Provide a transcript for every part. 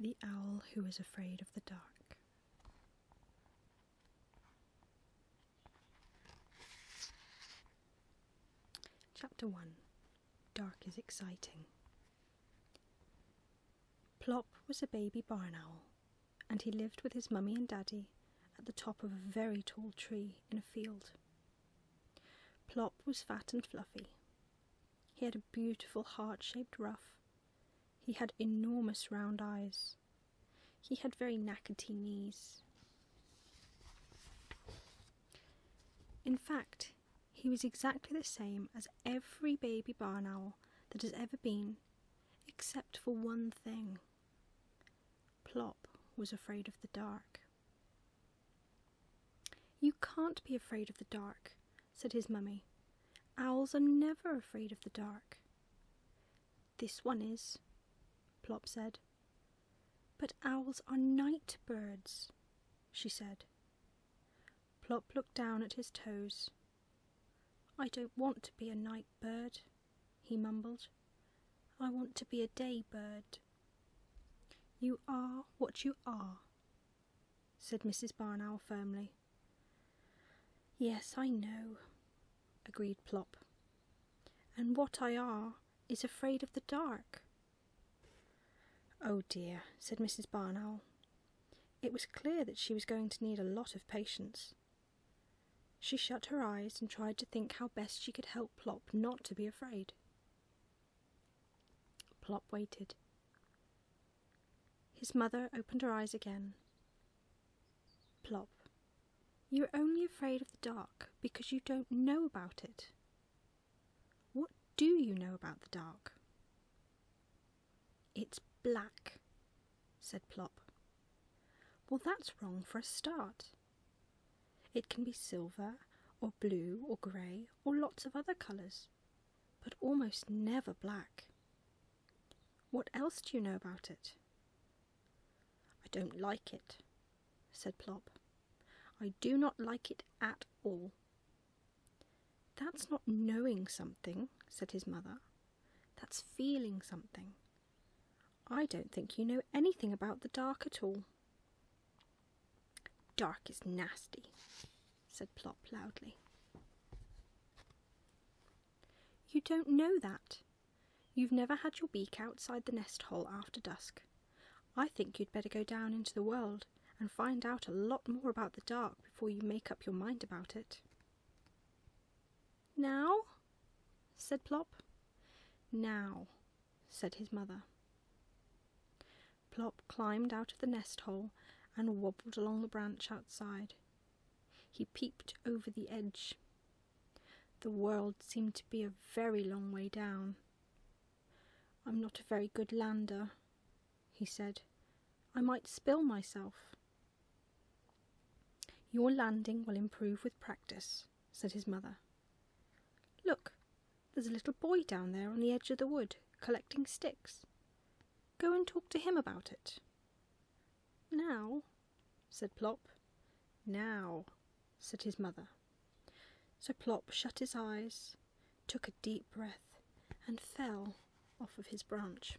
The Owl Who Is Afraid of the Dark. Chapter 1 Dark is Exciting. Plop was a baby barn owl, and he lived with his mummy and daddy at the top of a very tall tree in a field. Plop was fat and fluffy. He had a beautiful heart shaped ruff. He had enormous round eyes. He had very knackety knees. In fact, he was exactly the same as every baby barn owl that has ever been except for one thing. Plop was afraid of the dark. You can't be afraid of the dark, said his mummy. Owls are never afraid of the dark. This one is, Plop said. But owls are night birds, she said. Plop looked down at his toes I don't want to be a night bird, he mumbled. I want to be a day bird. You are what you are, said Mrs. Barnow firmly. Yes, I know, agreed Plop. And what I are is afraid of the dark. Oh dear, said Mrs. Barnow. It was clear that she was going to need a lot of patience, she shut her eyes and tried to think how best she could help Plop not to be afraid. Plop waited. His mother opened her eyes again. Plop, you're only afraid of the dark because you don't know about it. What do you know about the dark? It's black, said Plop. Well, that's wrong for a start. It can be silver, or blue, or grey, or lots of other colours, but almost never black. What else do you know about it? I don't like it, said Plop. I do not like it at all. That's not knowing something, said his mother. That's feeling something. I don't think you know anything about the dark at all. Dark is nasty, said Plop loudly. You don't know that. You've never had your beak outside the nest hole after dusk. I think you'd better go down into the world and find out a lot more about the dark before you make up your mind about it. Now? said Plop. Now, said his mother. Plop climbed out of the nest hole and wobbled along the branch outside. He peeped over the edge. The world seemed to be a very long way down. I'm not a very good lander, he said. I might spill myself. Your landing will improve with practice, said his mother. Look, there's a little boy down there on the edge of the wood collecting sticks. Go and talk to him about it. Now, said Plop. Now, said his mother. So Plop shut his eyes, took a deep breath, and fell off of his branch.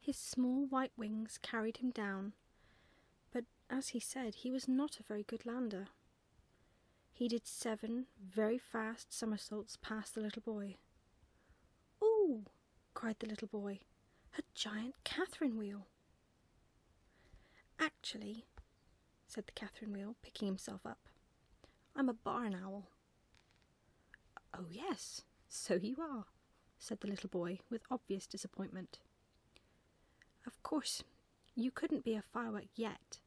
His small white wings carried him down, but as he said, he was not a very good lander. He did seven very fast somersaults past the little boy. Ooh! cried the little boy. A giant Catherine wheel! Actually, said the Catherine wheel, picking himself up, I'm a barn owl. Oh, yes, so you are, said the little boy with obvious disappointment. Of course, you couldn't be a firework yet.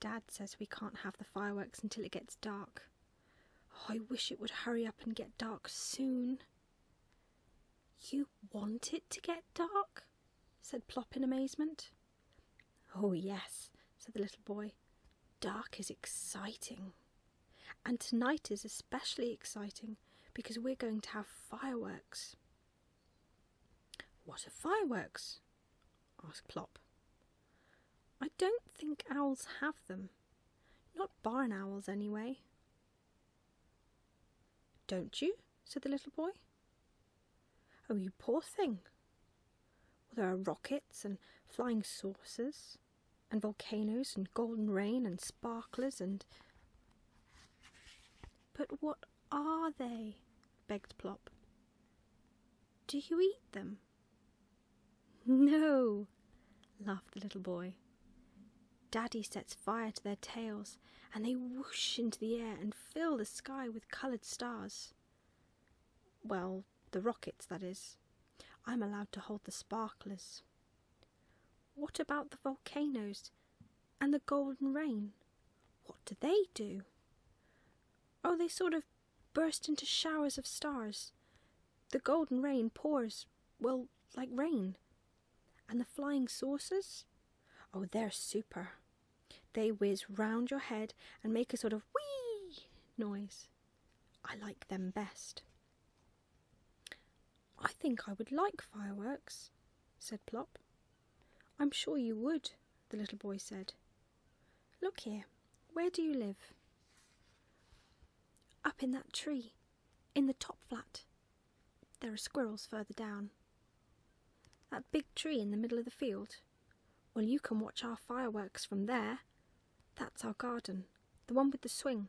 Dad says we can't have the fireworks until it gets dark. Oh, I wish it would hurry up and get dark soon. You want it to get dark? said Plop in amazement. Oh, yes, said the little boy. Dark is exciting. And tonight is especially exciting because we're going to have fireworks. What are fireworks? asked Plop. I don't think owls have them. Not barn owls, anyway. Don't you? said the little boy. Oh, you poor thing, there are rockets and flying saucers, and volcanoes, and golden rain, and sparklers, and. But what are they? begged Plop. Do you eat them? No, laughed the little boy. Daddy sets fire to their tails, and they whoosh into the air and fill the sky with coloured stars. Well, the rockets, that is. I'm allowed to hold the sparklers. What about the volcanoes and the golden rain? What do they do? Oh, they sort of burst into showers of stars. The golden rain pours, well, like rain. And the flying saucers? Oh, they're super. They whiz round your head and make a sort of wee noise. I like them best. I think I would like fireworks, said Plop. I'm sure you would, the little boy said. Look here, where do you live? Up in that tree, in the top flat. There are squirrels further down. That big tree in the middle of the field, well, you can watch our fireworks from there. That's our garden, the one with the swing.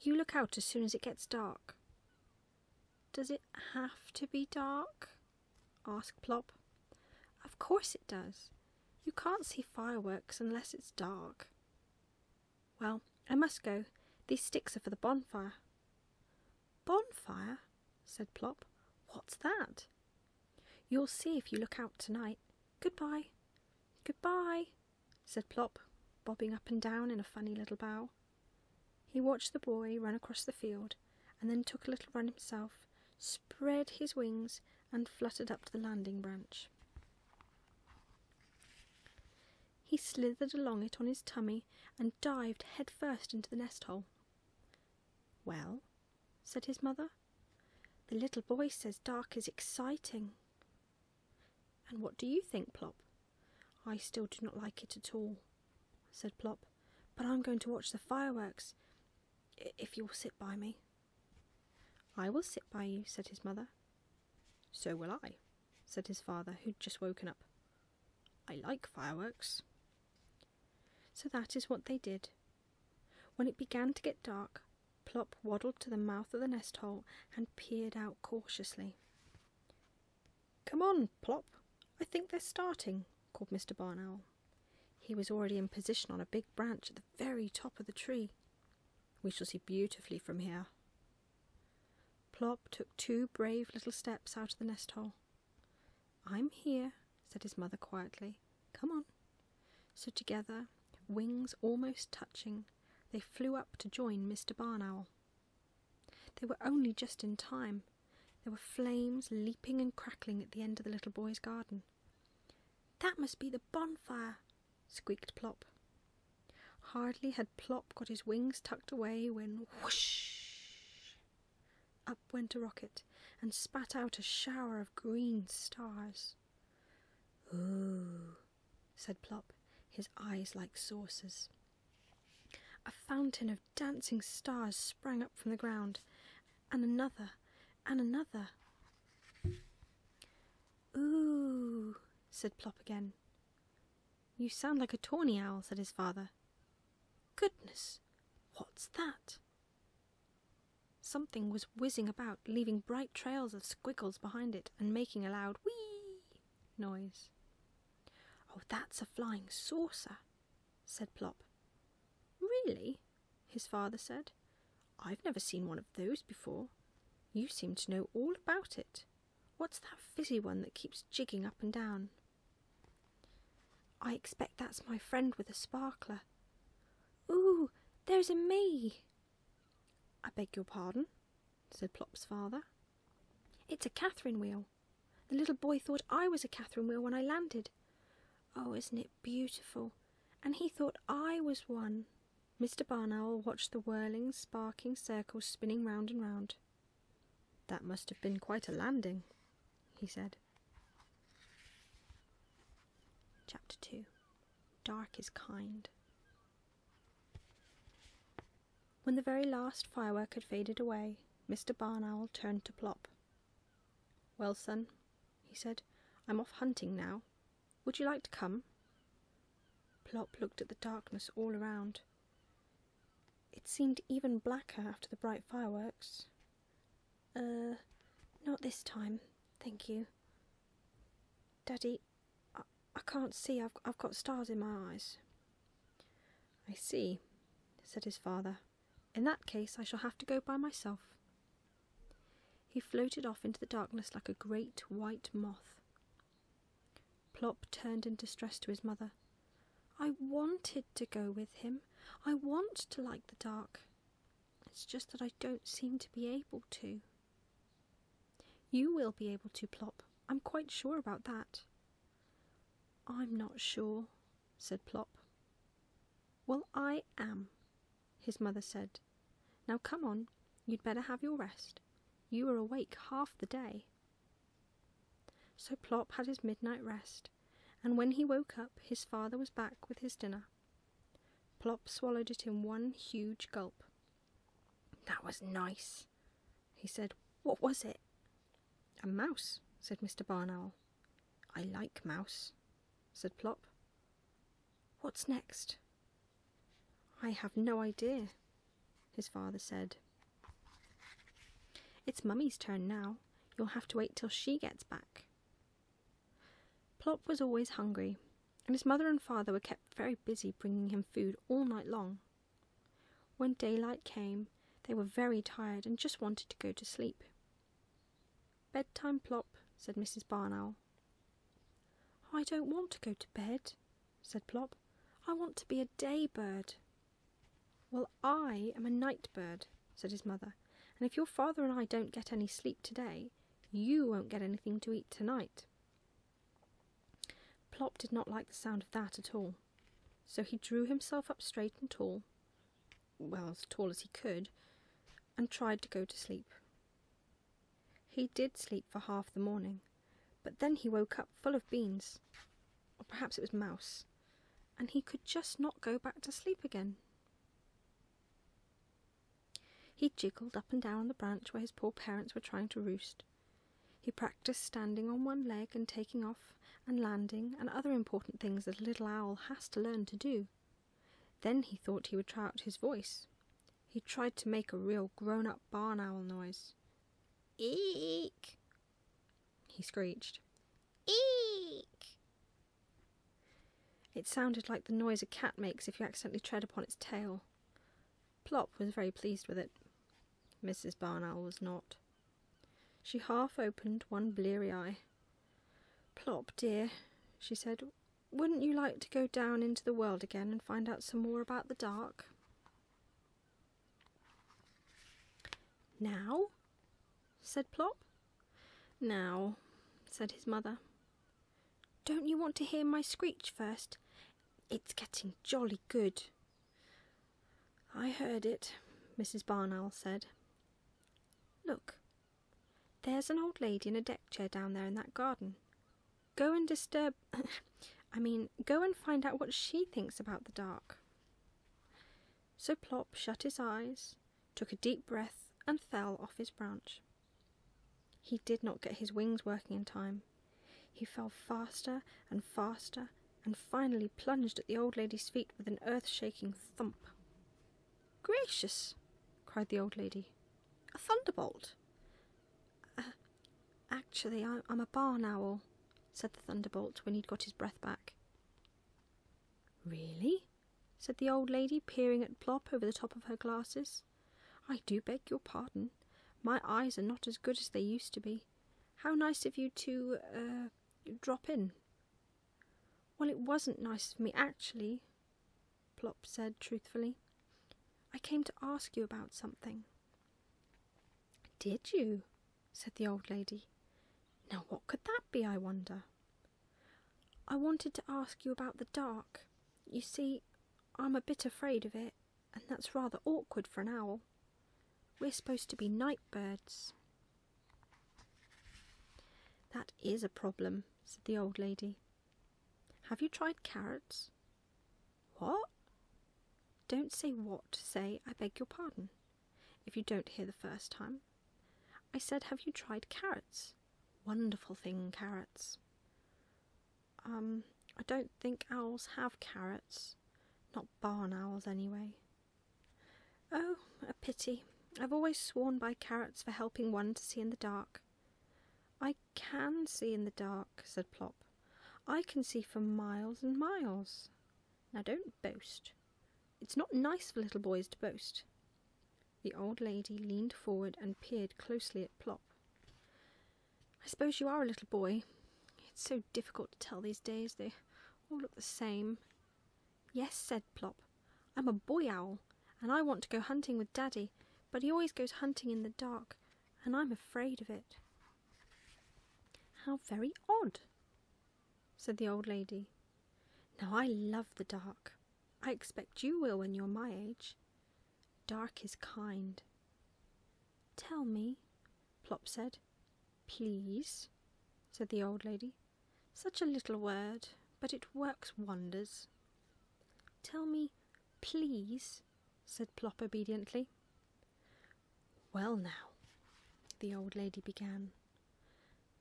You look out as soon as it gets dark. Does it have to be dark? asked Plop. Of course it does. You can't see fireworks unless it's dark. Well, I must go. These sticks are for the bonfire. Bonfire? said Plop. What's that? You'll see if you look out tonight. Goodbye. Goodbye, said Plop, bobbing up and down in a funny little bow. He watched the boy run across the field and then took a little run himself, spread his wings, and fluttered up to the landing branch. He slithered along it on his tummy and dived head first into the nest hole. Well, said his mother. The little boy says dark is exciting. And what do you think, Plop? I still do not like it at all, said Plop, but I'm going to watch the fireworks if you'll sit by me. I will sit by you, said his mother. So will I, said his father, who'd just woken up. I like fireworks. So that is what they did. When it began to get dark, Plop waddled to the mouth of the nest hole and peered out cautiously. Come on, Plop, I think they're starting, called Mr. Barn Owl. He was already in position on a big branch at the very top of the tree. We shall see beautifully from here. Plop took two brave little steps out of the nest hole. I'm here, said his mother quietly. Come on. So together, wings almost touching, they flew up to join Mr. Barn Owl. They were only just in time. There were flames leaping and crackling at the end of the little boy's garden. That must be the bonfire, squeaked Plop. Hardly had Plop got his wings tucked away when whoosh! Up went a rocket and spat out a shower of green stars. Ooh, said Plop, his eyes like saucers. A fountain of dancing stars sprang up from the ground, and another, and another. Ooh, said Plop again. You sound like a tawny owl, said his father. Goodness, what's that? Something was whizzing about, leaving bright trails of squiggles behind it and making a loud whee noise. Oh, that's a flying saucer, said Plop. Really? his father said. I've never seen one of those before. You seem to know all about it. What's that fizzy one that keeps jigging up and down? I expect that's my friend with a sparkler. Ooh, there's a me. I beg your pardon, said Plop's father. It's a Catherine wheel. The little boy thought I was a Catherine wheel when I landed. Oh, isn't it beautiful? And he thought I was one. Mr. Barn Owl watched the whirling, sparkling circles spinning round and round. That must have been quite a landing, he said. Chapter 2 Dark is Kind. When the very last firework had faded away, Mr. Barn Owl turned to Plop. Well, son, he said, I'm off hunting now. Would you like to come? Plop looked at the darkness all around. It seemed even blacker after the bright fireworks. Uh, not this time, thank you. Daddy, I, I can't see. I've, I've got stars in my eyes. I see, said his father. In that case, I shall have to go by myself. He floated off into the darkness like a great white moth. Plop turned in distress to his mother. I wanted to go with him. I want to like the dark. It's just that I don't seem to be able to. You will be able to, Plop. I'm quite sure about that. I'm not sure, said Plop. Well, I am, his mother said. Now come on, you'd better have your rest. You were awake half the day. So Plop had his midnight rest, and when he woke up, his father was back with his dinner. Plop swallowed it in one huge gulp. That was nice, he said. What was it? A mouse, said Mr. Barn Owl. I like mouse, said Plop. What's next? I have no idea, his father said. It's Mummy's turn now. You'll have to wait till she gets back. Plop was always hungry, and his mother and father were kept very busy bringing him food all night long. When daylight came, they were very tired and just wanted to go to sleep. Bedtime, Plop, said Mrs. Barn Owl. I don't want to go to bed, said Plop. I want to be a day bird. Well, I am a night bird, said his mother, and if your father and I don't get any sleep today, you won't get anything to eat tonight. Plop did not like the sound of that at all, so he drew himself up straight and tall, well, as tall as he could, and tried to go to sleep. He did sleep for half the morning, but then he woke up full of beans, or perhaps it was mouse, and he could just not go back to sleep again. He jiggled up and down the branch where his poor parents were trying to roost. He practised standing on one leg and taking off and landing and other important things that a little owl has to learn to do. Then he thought he would try out his voice. He tried to make a real grown up barn owl noise. Eek! He screeched. Eek! It sounded like the noise a cat makes if you accidentally tread upon its tail. Plop was very pleased with it. Mrs. Barn Owl was not. She half opened one bleary eye. Plop, dear, she said, wouldn't you like to go down into the world again and find out some more about the dark? Now? said Plop. Now, said his mother. Don't you want to hear my screech first? It's getting jolly good. I heard it, Mrs. Barn said. Look, there's an old lady in a deck chair down there in that garden. Go and disturb. I mean, go and find out what she thinks about the dark. So Plop shut his eyes, took a deep breath, and fell off his branch. He did not get his wings working in time. He fell faster and faster and finally plunged at the old lady's feet with an earth shaking thump. Gracious! cried the old lady. A thunderbolt! Uh, actually, I, I'm a barn owl, said the thunderbolt when he'd got his breath back. Really? said the old lady, peering at Plop over the top of her glasses. I do beg your pardon. My eyes are not as good as they used to be. How nice of you to er drop in. Well, it wasn't nice of me, actually, Plop said truthfully. I came to ask you about something. Did you? said the old lady. Now, what could that be, I wonder? I wanted to ask you about the dark, you see, I'm a bit afraid of it, and that's rather awkward for an owl. We're supposed to be night birds. That is a problem, said the old lady. Have you tried carrots? What? Don't say what, say I beg your pardon, if you don't hear the first time. I said, Have you tried carrots? Wonderful thing, carrots. Um, I don't think owls have carrots. Not barn owls, anyway. Oh, a pity. I've always sworn by carrots for helping one to see in the dark. I can see in the dark, said Plop. I can see for miles and miles. Now don't boast. It's not nice for little boys to boast. The old lady leaned forward and peered closely at Plop. I suppose you are a little boy. It's so difficult to tell these days, they all look the same. Yes, said Plop, I'm a boy owl, and I want to go hunting with Daddy, but he always goes hunting in the dark, and I'm afraid of it. How very odd, said the old lady. Now I love the dark. I expect you will when you're my age. Dark is kind. Tell me, Plop said. Please, said the old lady. Such a little word, but it works wonders. Tell me, please, said Plop obediently. Well, now, the old lady began.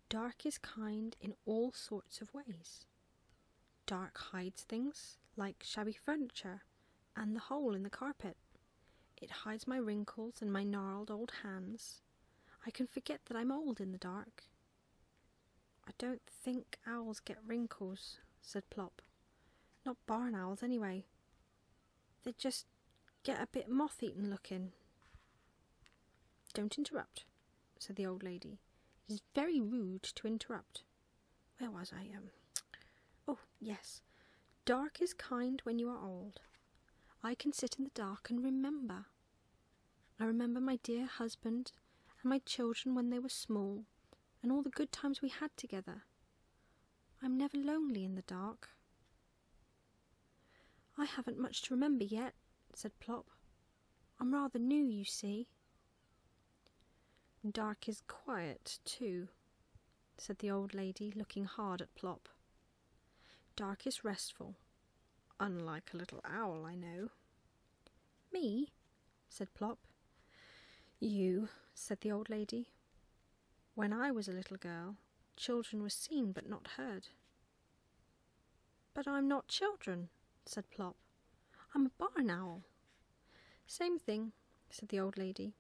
Dark is kind in all sorts of ways. Dark hides things like shabby furniture and the hole in the carpet. It hides my wrinkles and my gnarled old hands. I can forget that I'm old in the dark. I don't think owls get wrinkles, said Plop. Not barn owls, anyway. They just get a bit moth eaten looking. Don't interrupt, said the old lady. It is very rude to interrupt where was I? Um, oh, yes. Dark is kind when you are old. I can sit in the dark and remember. I remember my dear husband and my children when they were small and all the good times we had together. I'm never lonely in the dark. I haven't much to remember yet, said Plop, I'm rather new, you see. Dark is quiet, too, said the old lady, looking hard at Plop. Dark is restful, unlike a little owl, I know. Me? said Plop. You, said the old lady. When I was a little girl, children were seen but not heard. But I'm not children, said Plop. I'm a barn owl. Same thing, said the old lady.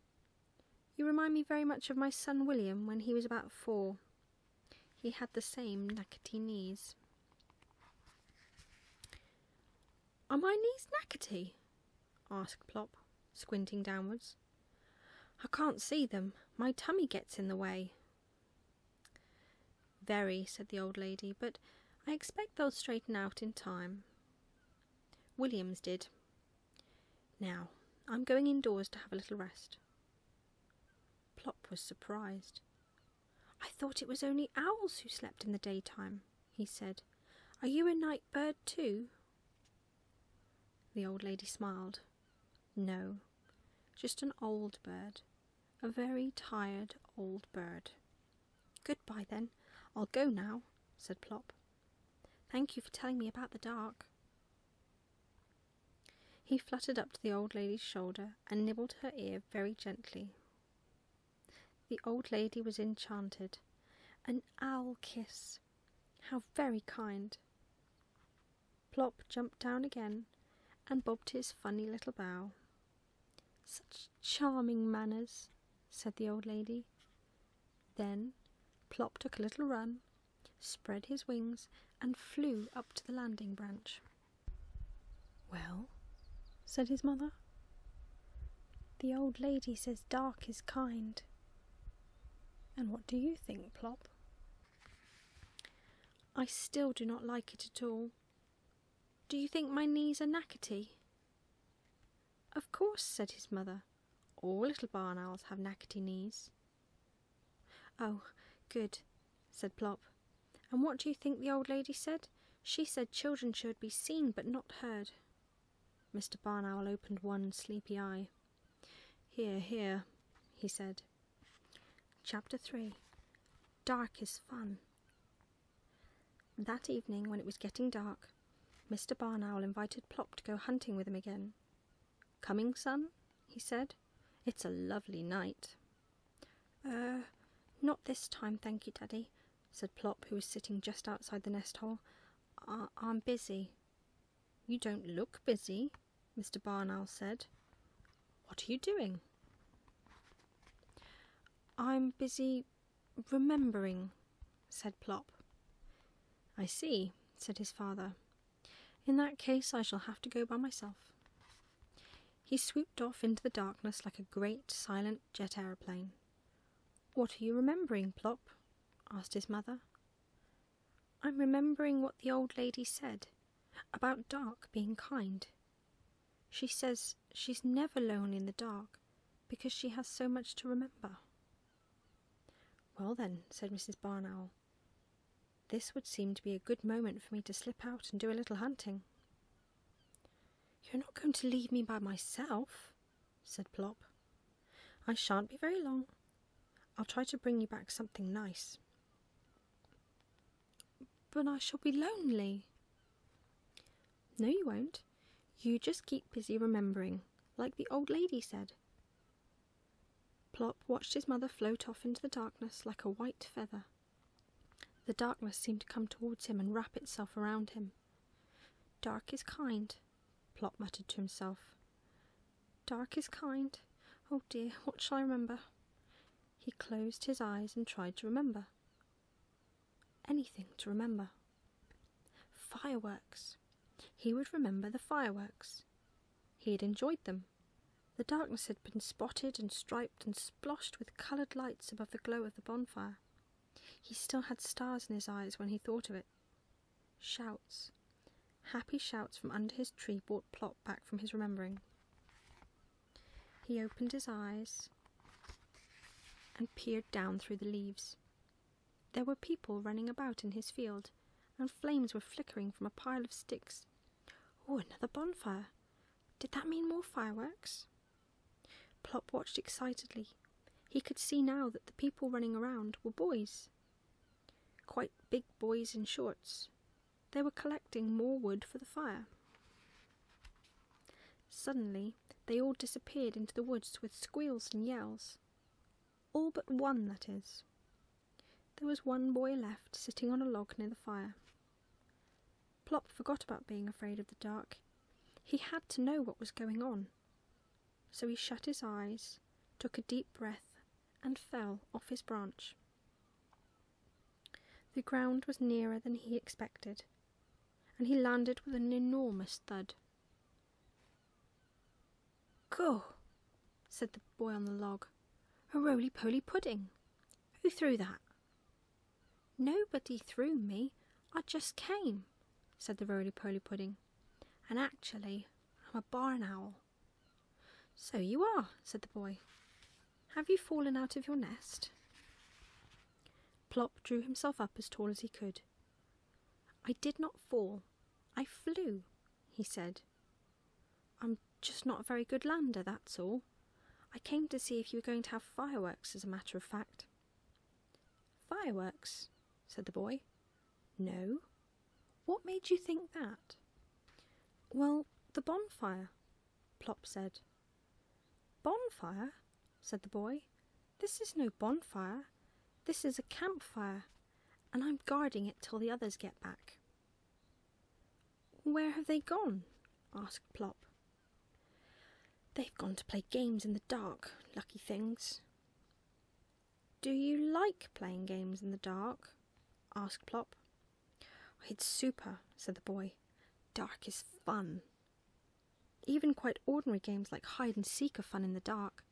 You remind me very much of my son William when he was about four. He had the same knackety knees. Are my knees knackety? asked Plop, squinting downwards. I can't see them. My tummy gets in the way. Very, said the old lady, but I expect they'll straighten out in time. Williams did. Now, I'm going indoors to have a little rest. Plop was surprised. I thought it was only owls who slept in the daytime, he said. Are you a night bird too? The old lady smiled. No, just an old bird, a very tired old bird, Goodbye, then. I'll go now, said Plop. Thank you for telling me about the dark. He fluttered up to the old lady's shoulder and nibbled her ear very gently. The old lady was enchanted. An owl kiss! How very kind! Plop jumped down again and bobbed his funny little bow. Such charming manners, said the old lady. Then Plop took a little run, spread his wings, and flew up to the landing branch. Well, said his mother, the old lady says dark is kind. And what do you think, Plop? I still do not like it at all. Do you think my knees are knackety? Of course, said his mother. All little barn owls have knackety knees. Oh, good, said Plop. And what do you think the old lady said? She said children should be seen but not heard. Mr. Barn Owl opened one sleepy eye. Here, here, he said. Chapter 3 Dark is Fun that evening, when it was getting dark, Mr. Barn Owl invited Plop to go hunting with him again. Coming, son? he said. It's a lovely night. Er, uh, not this time, thank you, Daddy, said Plop, who was sitting just outside the nest hole. I'm busy. You don't look busy, Mr. Barn Owl said. What are you doing? I'm busy remembering, said Plop. I see, said his father. In that case, I shall have to go by myself. He swooped off into the darkness like a great silent jet aeroplane. What are you remembering, Plop? asked his mother. I'm remembering what the old lady said about Dark being kind, she says she's never lonely in the dark because she has so much to remember. Well, then, said Mrs. Barnowl. this would seem to be a good moment for me to slip out and do a little hunting. You're not going to leave me by myself, said Plop. I shan't be very long. I'll try to bring you back something nice. But I shall be lonely, no, you won't. You just keep busy remembering, like the old lady said. Plop watched his mother float off into the darkness like a white feather. The darkness seemed to come towards him and wrap itself around him. Dark is kind, Plop muttered to himself. Dark is kind. Oh dear, what shall I remember? He closed his eyes and tried to remember. Anything to remember. Fireworks. He would remember the fireworks. He had enjoyed them. The darkness had been spotted and striped and splotched with coloured lights above the glow of the bonfire. He still had stars in his eyes when he thought of it. Shouts. Happy shouts from under his tree brought Plop back from his remembering. He opened his eyes and peered down through the leaves. There were people running about in his field, and flames were flickering from a pile of sticks. Oh, another bonfire! Did that mean more fireworks? Plop watched excitedly. He could see now that the people running around were boys. Quite big boys in shorts. They were collecting more wood for the fire. Suddenly, they all disappeared into the woods with squeals and yells. All but one, that is. There was one boy left sitting on a log near the fire. Plop forgot about being afraid of the dark. He had to know what was going on. So he shut his eyes, took a deep breath, and fell off his branch. The ground was nearer than he expected, and he landed with an enormous thud. Go, said the boy on the log. A roly poly pudding. Who threw that? Nobody threw me. I just came, said the roly poly pudding. And actually, I'm a barn owl. So you are, said the boy. Have you fallen out of your nest? Plop drew himself up as tall as he could. I did not fall. I flew, he said. I'm just not a very good lander, that's all. I came to see if you were going to have fireworks, as a matter of fact. Fireworks? said the boy. No. What made you think that? Well, the bonfire, Plop said. Bonfire? said the boy. This is no bonfire. This is a campfire, and I'm guarding it till the others get back. Where have they gone? asked Plop. They've gone to play games in the dark, lucky things. Do you like playing games in the dark? asked Plop. It's super, said the boy. Dark is fun. Even quite ordinary games like hide and seek are fun in the dark.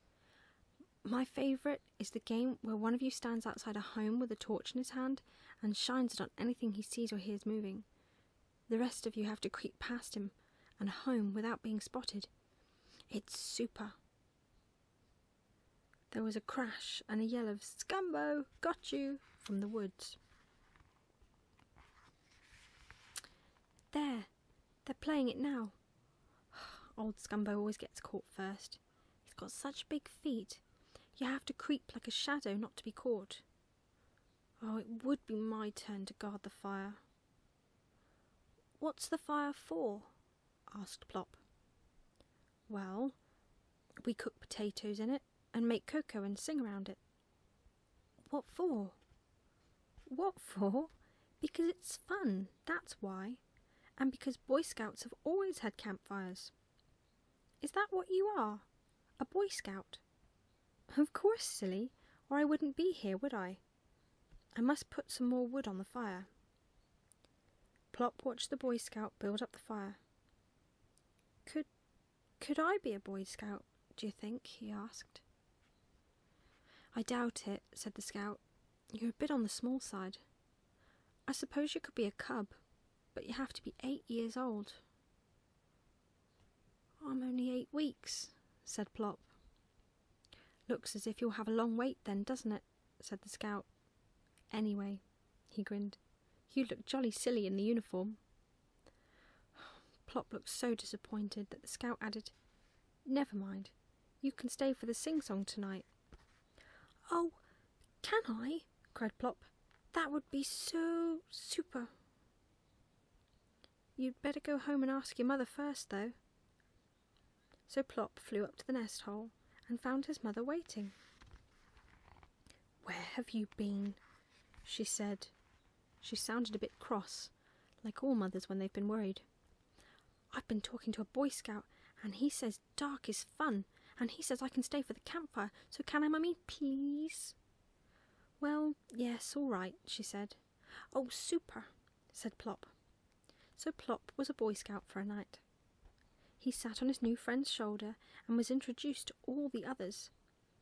My favourite is the game where one of you stands outside a home with a torch in his hand and shines it on anything he sees or hears moving. The rest of you have to creep past him and home without being spotted. It's super. There was a crash and a yell of "Scambo, got you! from the woods. There, they're playing it now. Old Scumbo always gets caught first. He's got such big feet. You have to creep like a shadow not to be caught. Oh, it would be my turn to guard the fire. What's the fire for? asked Plop. Well, we cook potatoes in it and make cocoa and sing around it, what for? What for? Because it's fun, that's why. And because Boy Scouts have always had campfires. Is that what you are? A Boy Scout? Of course, silly, or I wouldn't be here, would I? I must put some more wood on the fire. Plop watched the Boy Scout build up the fire. Could could I be a Boy Scout, do you think? he asked. I doubt it, said the scout. You're a bit on the small side. I suppose you could be a cub, but you have to be eight years old. I'm only eight weeks, said Plop. Looks as if you'll have a long wait then, doesn't it? said the scout. Anyway, he grinned, you look jolly silly in the uniform. Plop looked so disappointed that the scout added, Never mind, you can stay for the sing song tonight. Oh, can I? cried Plop. That would be so super. You'd better go home and ask your mother first, though. So Plop flew up to the nest hole and found his mother waiting. Where have you been? she said, she sounded a bit cross, like all mothers when they've been worried. I've been talking to a Boy Scout, and he says dark is fun, and he says I can stay for the campfire, so can I, Mummy, please? Well, yes, all right, she said. Oh, super, said Plop. So Plop was a Boy Scout for a night. He sat on his new friend's shoulder and was introduced to all the others,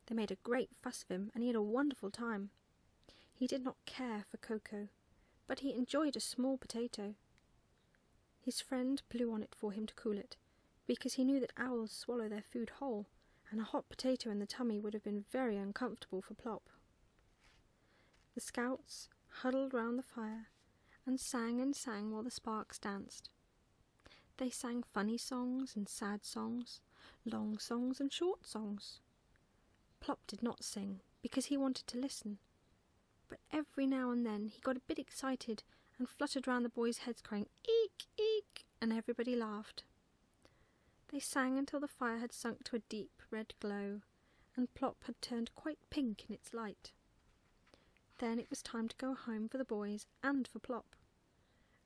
they made a great fuss of him, and he had a wonderful time. He did not care for cocoa, but he enjoyed a small potato. His friend blew on it for him to cool it, because he knew that owls swallow their food whole, and a hot potato in the tummy would have been very uncomfortable for Plop. The scouts huddled round the fire and sang and sang while the sparks danced. They sang funny songs and sad songs, long songs and short songs, Plop did not sing because he wanted to listen, but every now and then he got a bit excited and fluttered round the boys' heads, crying eek eek, and everybody laughed. They sang until the fire had sunk to a deep red glow, and Plop had turned quite pink in its light. Then it was time to go home for the boys and for Plop.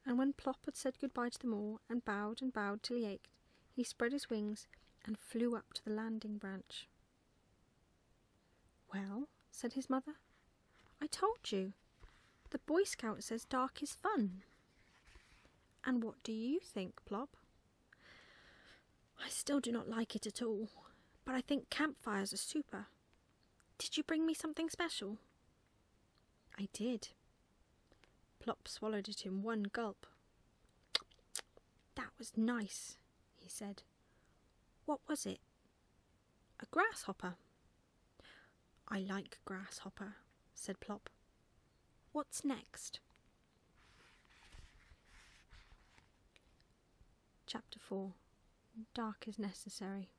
And when Plop had said good by to them all, and bowed and bowed till he ached, he spread his wings and flew up to the landing branch. Well, said his mother, I told you. The Boy Scout says dark is fun. And what do you think, Plop? I still do not like it at all, but I think campfires are super. Did you bring me something special? I did. Plop swallowed it in one gulp. That was nice, he said. What was it? A grasshopper. I like grasshopper, said Plop. What's next? Chapter 4 Dark is Necessary.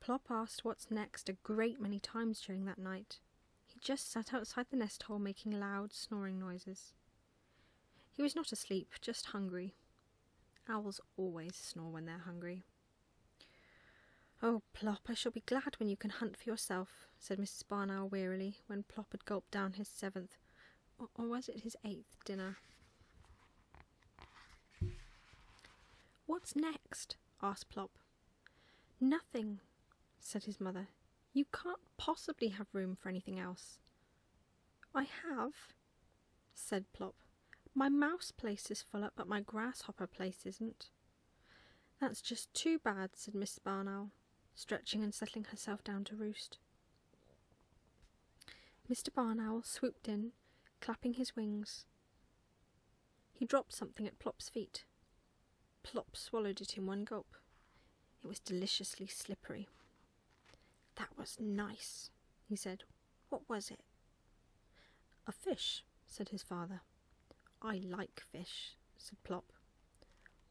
Plop asked what's next a great many times during that night. He just sat outside the nest hole making loud snoring noises. He was not asleep, just hungry. Owls always snore when they're hungry. Oh, Plop, I shall be glad when you can hunt for yourself, said Mrs. Barnow wearily, when Plop had gulped down his seventh, or, or was it his eighth, dinner. What's next? asked Plop. Nothing, said his mother. You can't possibly have room for anything else. I have, said Plop. My mouse place is full up, but my grasshopper place isn't. That's just too bad, said Mrs. Barn Owl, stretching and settling herself down to roost. Mr. Barn Owl swooped in, clapping his wings. He dropped something at Plop's feet. Plop swallowed it in one gulp. It was deliciously slippery. That was nice, he said. What was it? A fish, said his father. I like fish, said Plop.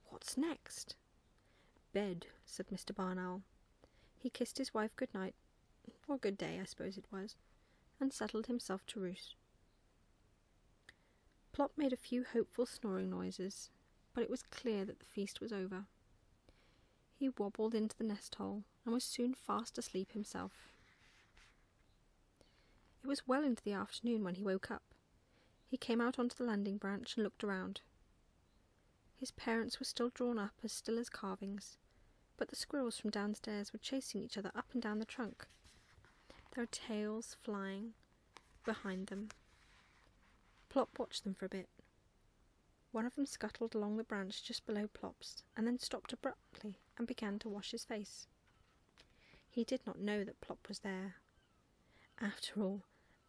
What's next? Bed, said Mr. Barnowl. He kissed his wife good night, or good day, I suppose it was, and settled himself to roost. Plop made a few hopeful snoring noises, but it was clear that the feast was over. He wobbled into the nest hole and was soon fast asleep himself. It was well into the afternoon when he woke up. He came out onto the landing branch and looked around. His parents were still drawn up as still as carvings, but the squirrels from downstairs were chasing each other up and down the trunk, their tails flying behind them. Plop watched them for a bit. One of them scuttled along the branch just below Plop's and then stopped abruptly and began to wash his face. He did not know that Plop was there. After all,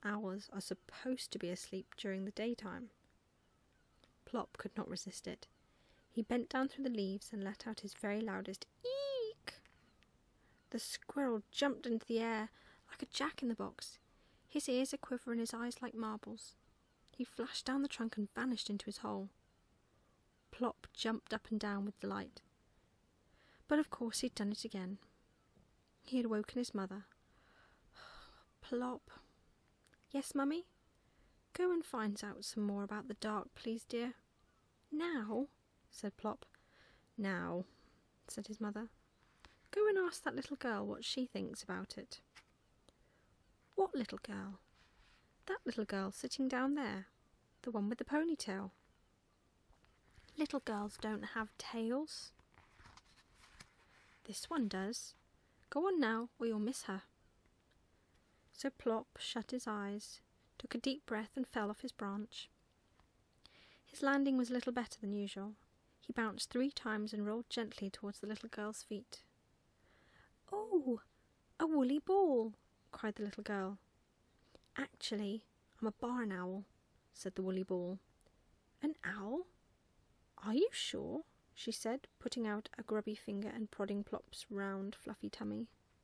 owls are supposed to be asleep during the daytime. Plop could not resist it he bent down through the leaves and let out his very loudest eek. The squirrel jumped into the air like a jack in the box, his ears a quiver and his eyes like marbles. He flashed down the trunk and vanished into his hole. Plop jumped up and down with delight. But of course he'd done it again. He had woken his mother. Plop. Yes, Mummy? Go and find out some more about the dark, please, dear. Now? said Plop. Now, said his mother. Go and ask that little girl what she thinks about it. What little girl? That little girl sitting down there, the one with the ponytail. Little girls don't have tails. This one does. Go on now, or you'll miss her. So Plop shut his eyes, took a deep breath, and fell off his branch. His landing was little better than usual. He bounced three times and rolled gently towards the little girl's feet. Oh, a woolly ball! cried the little girl. Actually, I'm a barn owl, said the woolly ball. An owl? Are you sure? she said, putting out a grubby finger and prodding Plop's round, fluffy tummy.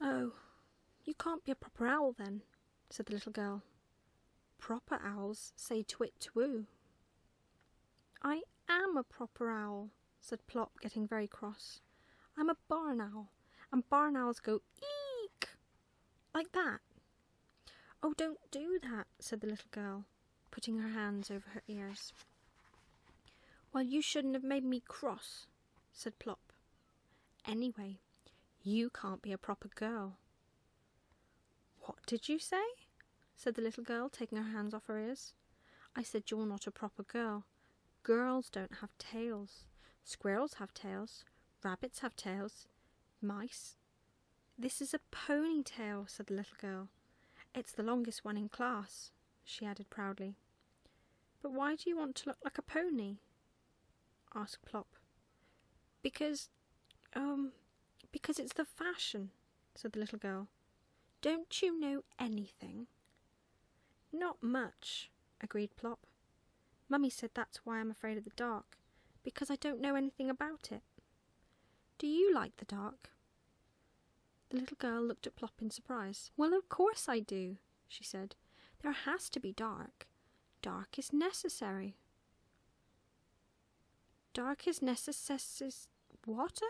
Oh, you can't be a proper owl then, said the little girl. Proper owls say twit twoo. I am a proper owl, said Plop, getting very cross. I'm a barn owl, and barn owls go eek, like that. Oh, don't do that, said the little girl, putting her hands over her ears. Well, you shouldn't have made me cross, said Plop. Anyway, you can't be a proper girl. What did you say? said the little girl, taking her hands off her ears. I said you're not a proper girl. Girls don't have tails. Squirrels have tails. Rabbits have tails. Mice. This is a ponytail, said the little girl. It's the longest one in class, she added proudly. But why do you want to look like a pony? asked Plop. Because, um, because it's the fashion, said the little girl. Don't you know anything? Not much, agreed Plop. Mummy said that's why I'm afraid of the dark, because I don't know anything about it. Do you like the dark? The little girl looked at Plop in surprise. Well, of course I do, she said. There has to be dark. Dark is necessary. Dark is necessis water?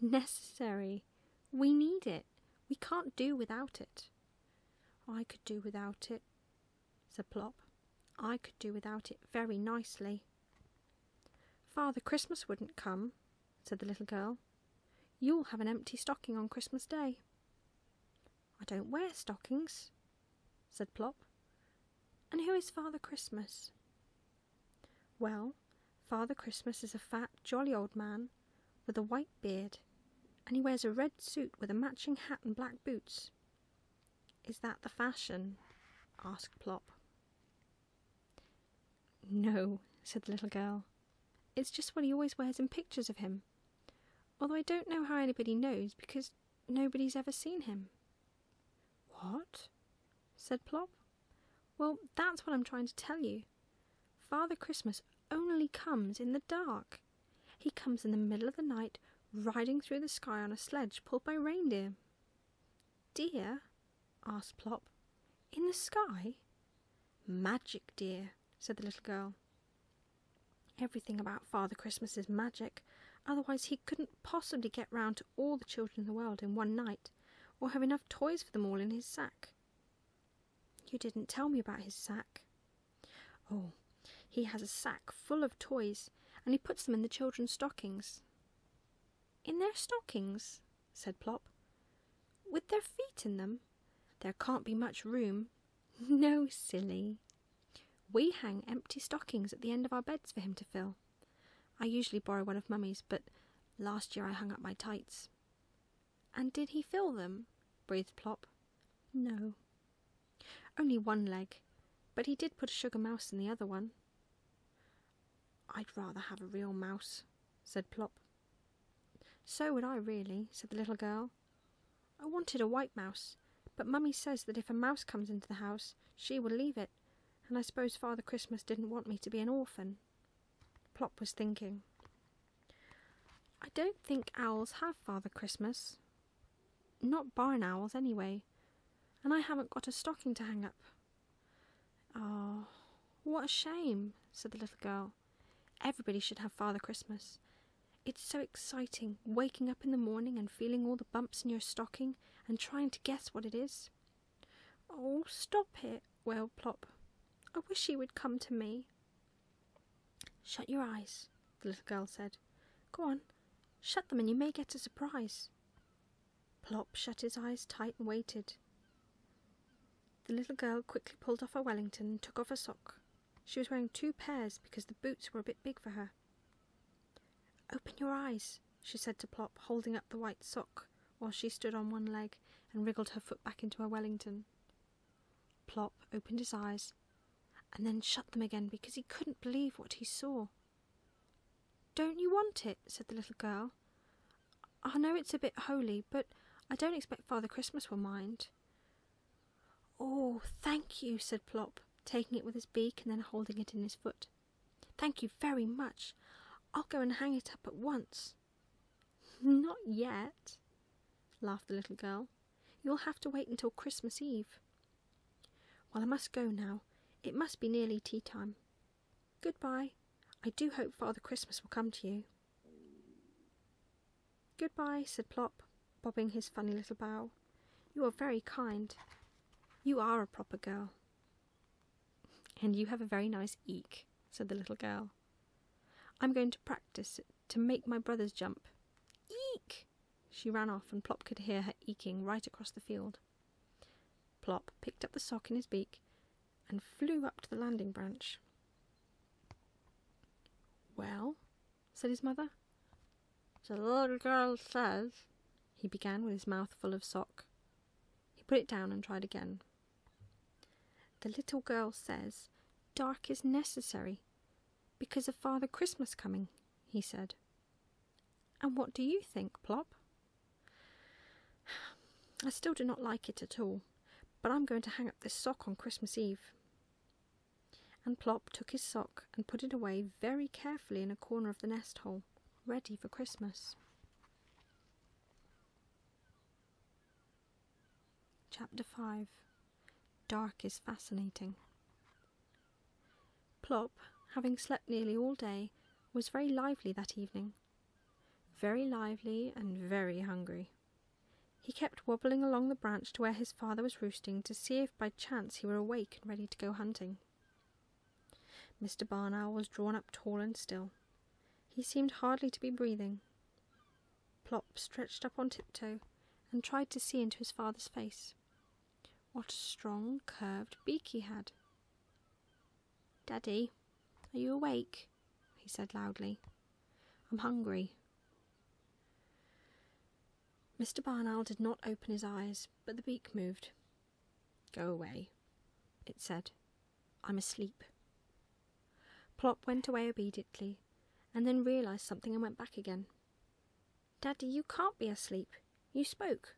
Necessary. We need it. We can't do without it. I could do without it, said Plop. I could do without it very nicely. Father Christmas wouldn't come, said the little girl. You'll have an empty stocking on Christmas Day. I don't wear stockings, said Plop. And who is Father Christmas? Well, Father Christmas is a fat, jolly old man with a white beard, and he wears a red suit with a matching hat and black boots. Is that the fashion? asked Plop. No, said the little girl. It's just what he always wears in pictures of him. Although I don't know how anybody knows because nobody's ever seen him. What? said Plop. Well, that's what I'm trying to tell you. Father Christmas only comes in the dark. He comes in the middle of the night, riding through the sky on a sledge pulled by reindeer. Deer? asked Plop. In the sky? Magic deer, said the little girl. Everything about Father Christmas is magic, otherwise he couldn't possibly get round to all the children in the world in one night, or have enough toys for them all in his sack. You didn't tell me about his sack. Oh, he has a sack full of toys, and he puts them in the children's stockings. In their stockings? said Plop. With their feet in them? There can't be much room, No, silly. We hang empty stockings at the end of our beds for him to fill. I usually borrow one of Mummy's, but last year I hung up my tights. And did he fill them? breathed Plop. No. Only one leg, but he did put a sugar mouse in the other one. I'd rather have a real mouse, said Plop. So would I, really, said the little girl. I wanted a white mouse, but Mummy says that if a mouse comes into the house, she will leave it, and I suppose Father Christmas didn't want me to be an orphan. Plop was thinking. I don't think owls have Father Christmas. Not barn owls, anyway. And I haven't got a stocking to hang up. "Ah, what a shame, said the little girl. Everybody should have Father Christmas. It's so exciting waking up in the morning and feeling all the bumps in your stocking and trying to guess what it is. Oh, stop it, wailed Plop. I wish he would come to me. Shut your eyes, the little girl said. Go on, shut them and you may get a surprise. Plop shut his eyes tight and waited. The little girl quickly pulled off her Wellington and took off her sock. She was wearing two pairs because the boots were a bit big for her. Open your eyes, she said to Plop, holding up the white sock while she stood on one leg and wriggled her foot back into her Wellington. Plop opened his eyes and then shut them again because he couldn't believe what he saw. Don't you want it? said the little girl. I know it's a bit holy, but I don't expect Father Christmas will mind. Oh, thank you, said Plop, taking it with his beak and then holding it in his foot. Thank you very much. I'll go and hang it up at once. Not yet, laughed the little girl. You'll have to wait until Christmas Eve. Well, I must go now. It must be nearly tea time. Goodbye. I do hope Father Christmas will come to you. Goodbye, said Plop, bobbing his funny little bow. You are very kind. You are a proper girl. And you have a very nice eek, said the little girl. I'm going to practice to make my brothers jump. Eek! She ran off, and Plop could hear her eeking right across the field. Plop picked up the sock in his beak and flew up to the landing branch. Well, said his mother. The little girl says, he began with his mouth full of sock. He put it down and tried again. The little girl says, dark is necessary because of Father Christmas coming, he said. And what do you think, Plop? I still do not like it at all, but I'm going to hang up this sock on Christmas Eve and Plop took his sock and put it away very carefully in a corner of the nest hole, ready for Christmas. Chapter 5 Dark is Fascinating. Plop, having slept nearly all day, was very lively that evening. Very lively and very hungry. He kept wobbling along the branch to where his father was roosting to see if by chance he were awake and ready to go hunting. Mr. Barn Owl was drawn up tall and still. He seemed hardly to be breathing. Plop stretched up on tiptoe and tried to see into his father's face. What a strong, curved beak he had! Daddy, are you awake? he said loudly. I'm hungry. Mr. Barnell did not open his eyes, but the beak moved. Go away, it said. I'm asleep. Plop went away obediently, and then realized something and went back again. Daddy, you can't be asleep. You spoke.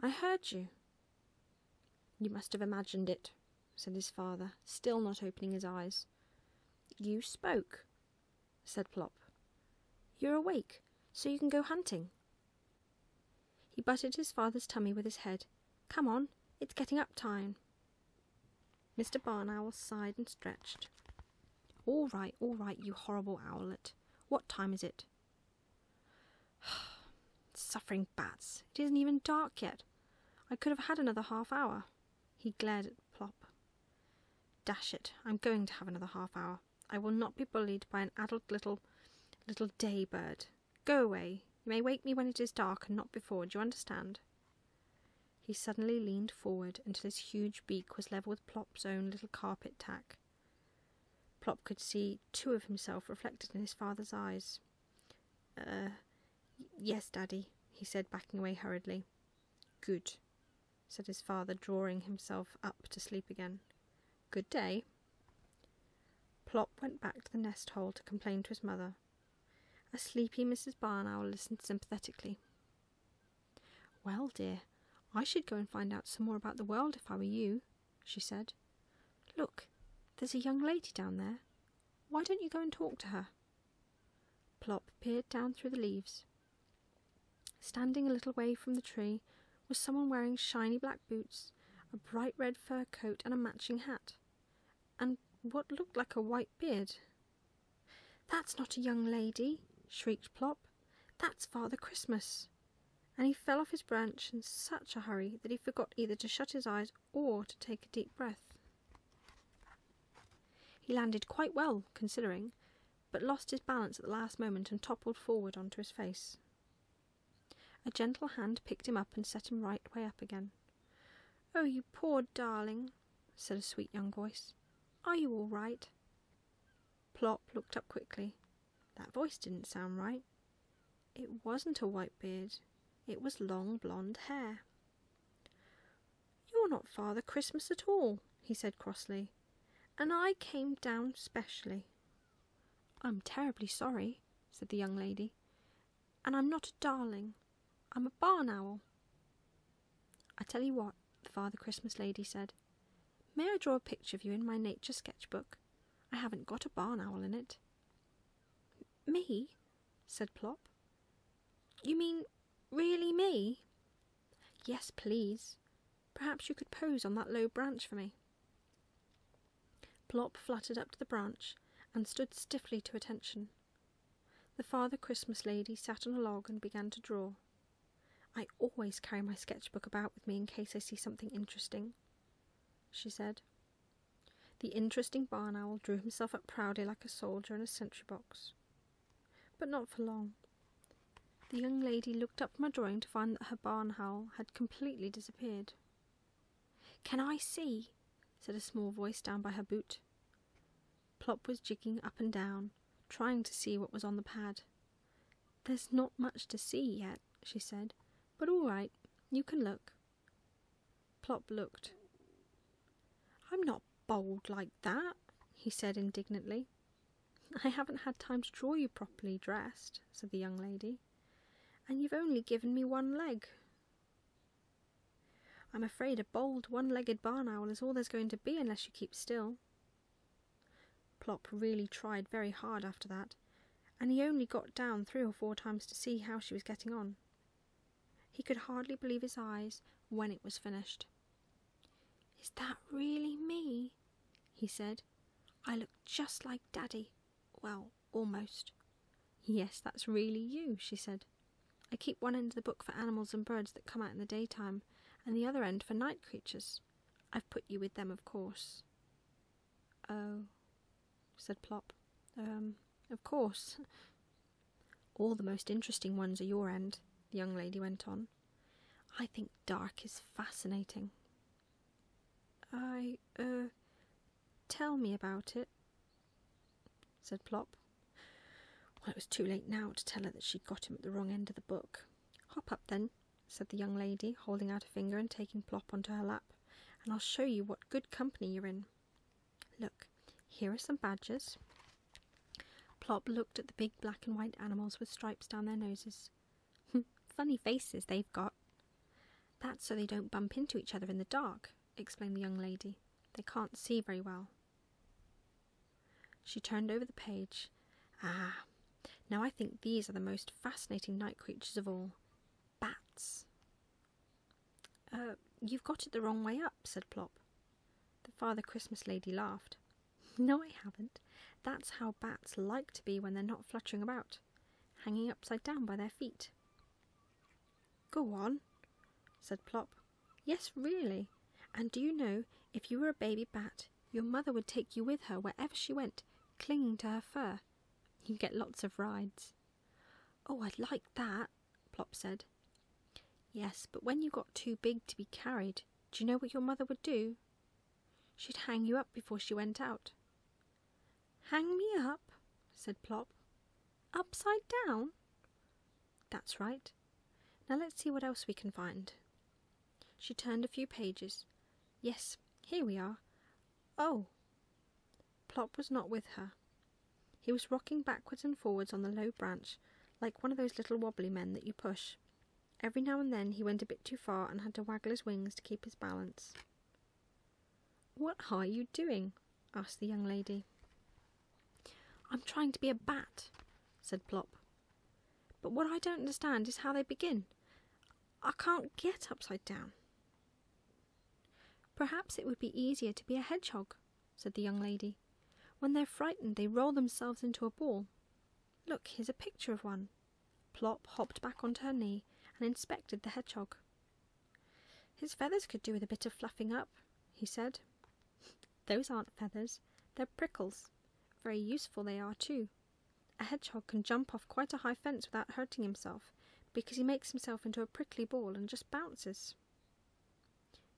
I heard you. You must have imagined it, said his father, still not opening his eyes. You spoke, said Plop. You're awake, so you can go hunting. He butted his father's tummy with his head. Come on, it's getting up time. Mr. Barn Owl sighed and stretched. All right, all right, you horrible owlet. What time is it? Suffering bats, it isn't even dark yet. I could have had another half hour. He glared at Plop. Dash it, I'm going to have another half hour. I will not be bullied by an adult little, little day bird. Go away. You may wake me when it is dark and not before. Do you understand? He suddenly leaned forward until his huge beak was level with Plop's own little carpet tack. Plop could see two of himself reflected in his father's eyes. Er, yes, Daddy, he said, backing away hurriedly. Good, said his father, drawing himself up to sleep again. Good day. Plop went back to the nest hole to complain to his mother. A sleepy Mrs. Barn Owl listened sympathetically. Well, dear, I should go and find out some more about the world if I were you, she said. Look, there's a young lady down there. Why don't you go and talk to her? Plop peered down through the leaves. Standing a little way from the tree was someone wearing shiny black boots, a bright red fur coat, and a matching hat, and what looked like a white beard. That's not a young lady, shrieked Plop. That's Father Christmas. And he fell off his branch in such a hurry that he forgot either to shut his eyes or to take a deep breath. He landed quite well, considering, but lost his balance at the last moment and toppled forward onto his face. A gentle hand picked him up and set him right way up again. Oh, you poor darling, said a sweet young voice. Are you all right? Plop looked up quickly. That voice didn't sound right. It wasn't a white beard, it was long blonde hair, you're not Father Christmas at all, he said crossly, and I came down specially. I'm terribly sorry, said the young lady, and I'm not a darling. I'm a barn owl. I tell you what, the Father Christmas lady said, may I draw a picture of you in my nature sketch book? I haven't got a barn owl in it. Me? said Plop. You mean really me? Yes, please. Perhaps you could pose on that low branch for me. Plop fluttered up to the branch and stood stiffly to attention. The Father Christmas lady sat on a log and began to draw. I always carry my sketch book about with me in case I see something interesting, she said. The interesting barn owl drew himself up proudly like a soldier in a sentry box. But not for long. The young lady looked up from her drawing to find that her barn owl had completely disappeared. Can I see? said a small voice down by her boot. Plop was jigging up and down, trying to see what was on the pad. There's not much to see yet, she said, but all right, you can look. Plop looked. I'm not bold like that, he said indignantly. I haven't had time to draw you properly dressed, said the young lady, and you've only given me one leg. I'm afraid a bold one legged barn owl is all there's going to be unless you keep still. Plop really tried very hard after that, and he only got down three or four times to see how she was getting on. He could hardly believe his eyes when it was finished. Is that really me? he said. I look just like Daddy. Well, almost. Yes, that's really you, she said. I keep one end of the book for animals and birds that come out in the daytime, and the other end for night creatures. I've put you with them, of course. Oh, said Plop. Um, of course. All the most interesting ones are your end, the young lady went on. I think dark is fascinating. I, er, tell me about it, said Plop. Well, it was too late now to tell her that she'd got him at the wrong end of the book. Hop up then, said the young lady, holding out a finger and taking Plop onto her lap, and I'll show you what good company you're in. Look, here are some badgers. Plop looked at the big black and white animals with stripes down their noses. Funny faces they've got. That's so they don't bump into each other in the dark, explained the young lady. They can't see very well. She turned over the page. Ah, now I think these are the most fascinating night creatures of all bats. Uh, you've got it the wrong way up, said Plop. The Father Christmas lady laughed. No, I haven't. That's how bats like to be when they're not fluttering about, hanging upside down by their feet. Go on, said Plop. Yes, really. And do you know, if you were a baby bat, your mother would take you with her wherever she went, clinging to her fur. You'd get lots of rides. Oh, I'd like that, Plop said. Yes, but when you got too big to be carried, do you know what your mother would do? She'd hang you up before she went out. Hang me up, said Plop. Upside down? That's right. Now let's see what else we can find. She turned a few pages. Yes, here we are. Oh! Plop was not with her. He was rocking backwards and forwards on the low branch, like one of those little wobbly men that you push. Every now and then he went a bit too far and had to waggle his wings to keep his balance. What are you doing? asked the young lady. I'm trying to be a bat, said Plop. But what I don't understand is how they begin. I can't get upside down. Perhaps it would be easier to be a hedgehog, said the young lady. When they're frightened, they roll themselves into a ball. Look, here's a picture of one. Plop hopped back onto her knee and inspected the hedgehog. His feathers could do with a bit of fluffing up, he said. Those aren't feathers, they're prickles. Very useful they are, too. A hedgehog can jump off quite a high fence without hurting himself, because he makes himself into a prickly ball and just bounces.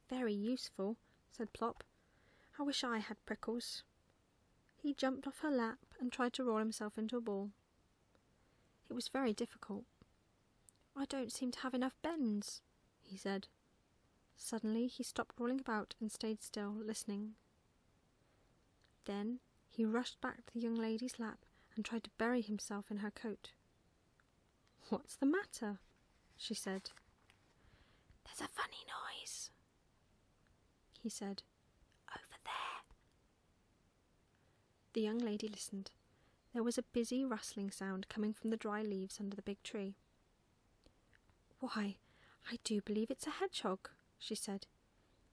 Very useful, said Plop. I wish I had prickles. He jumped off her lap and tried to roll himself into a ball. It was very difficult. I don't seem to have enough bends, he said. Suddenly he stopped rolling about and stayed still, listening. Then he rushed back to the young lady's lap and tried to bury himself in her coat. What's the matter? she said. There's a funny noise, he said, over there. The young lady listened. There was a busy rustling sound coming from the dry leaves under the big tree. Why, I do believe it's a hedgehog, she said.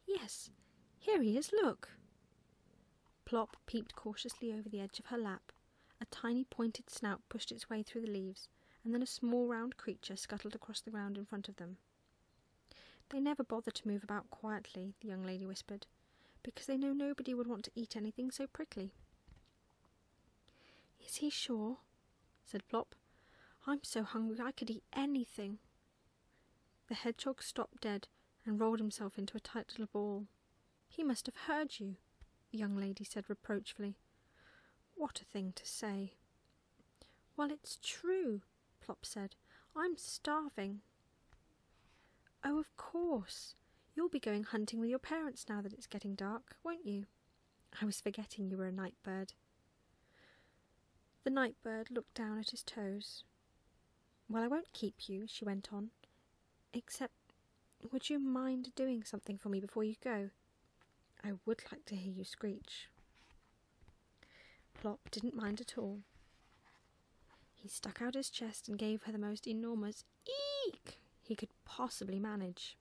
Yes, here he is, look. Plop peeped cautiously over the edge of her lap a tiny pointed snout pushed its way through the leaves, and then a small round creature scuttled across the ground in front of them. They never bother to move about quietly, the young lady whispered, because they know nobody would want to eat anything so prickly. Is he sure? said Plop. I'm so hungry I could eat anything. The hedgehog stopped dead and rolled himself into a tight little ball. He must have heard you, the young lady said reproachfully. What a thing to say! Well, it's true, Plop said. I'm starving. Oh, of course. You'll be going hunting with your parents now that it's getting dark, won't you? I was forgetting you were a night bird. The night bird looked down at his toes. Well, I won't keep you, she went on. Except, would you mind doing something for me before you go? I would like to hear you screech. Plop didn't mind at all. He stuck out his chest and gave her the most enormous eek he could possibly manage.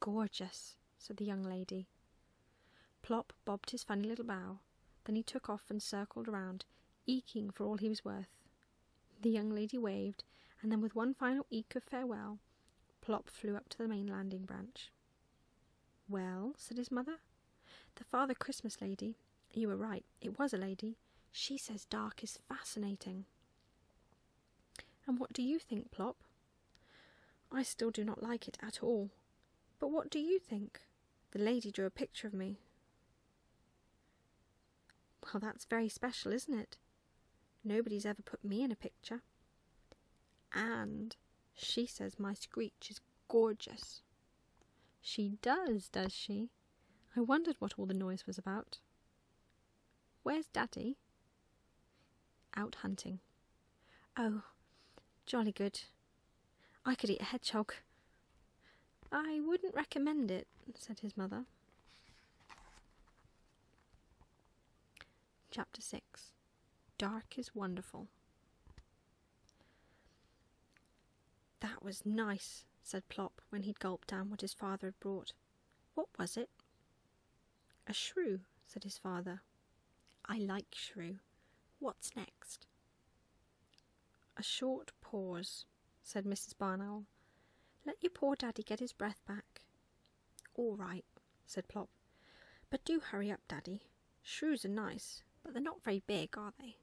Gorgeous, said the young lady. Plop bobbed his funny little bow, then he took off and circled around, eeking for all he was worth. The young lady waved, and then with one final eek of farewell, Plop flew up to the main landing branch. Well, said his mother, the Father Christmas lady, you were right, it was a lady, she says dark is fascinating. And what do you think, Plop? I still do not like it at all. But what do you think? The lady drew a picture of me. Well, that's very special, isn't it? Nobody's ever put me in a picture. And she says my screech is gorgeous. She does, does she? I wondered what all the noise was about. Where's Daddy? Out hunting. Oh, jolly good. I could eat a hedgehog. I wouldn't recommend it, said his mother. Chapter 6 Dark is Wonderful. That was nice, said Plop when he'd gulped down what his father had brought. What was it? A shrew, said his father. I like shrew. What's next? A short pause, said Mrs. Barnell. Let your poor daddy get his breath back. All right, said Plop. But do hurry up, Daddy. Shrews are nice, but they're not very big, are they?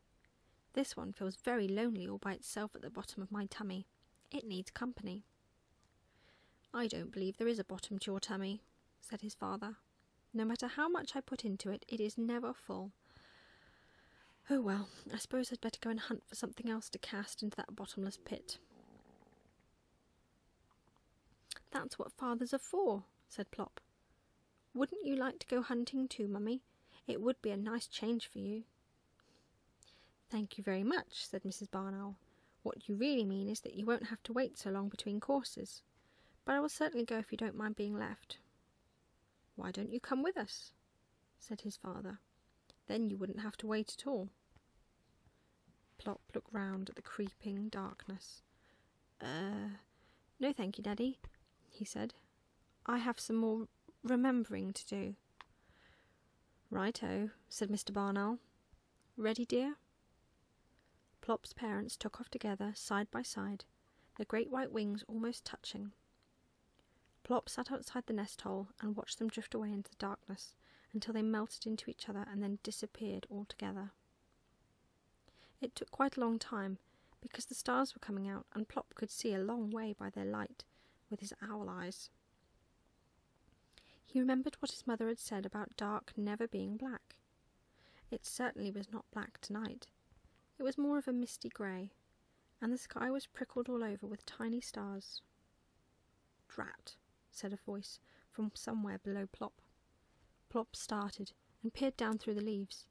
This one feels very lonely all by itself at the bottom of my tummy. It needs company. I don't believe there is a bottom to your tummy, said his father. No matter how much I put into it, it is never full. Oh well, I suppose I'd better go and hunt for something else to cast into that bottomless pit. That's what fathers are for, said Plop. Wouldn't you like to go hunting too, Mummy? It would be a nice change for you. Thank you very much, said Mrs. Barn What you really mean is that you won't have to wait so long between courses. But I will certainly go if you don't mind being left. Why don't you come with us? said his father. Then you wouldn't have to wait at all. Plop looked round at the creeping darkness. "Er, no thank you, Daddy, he said. I have some more remembering to do. Right, O," said Mr. Barnell. Ready, dear? Plop's parents took off together, side by side, their great white wings almost touching. Plop sat outside the nest hole and watched them drift away into the darkness until they melted into each other and then disappeared altogether. It took quite a long time because the stars were coming out and Plop could see a long way by their light with his owl eyes. He remembered what his mother had said about dark never being black. It certainly was not black tonight. It was more of a misty grey, and the sky was prickled all over with tiny stars. Drat, said a voice from somewhere below Plop. Plop started and peered down through the leaves.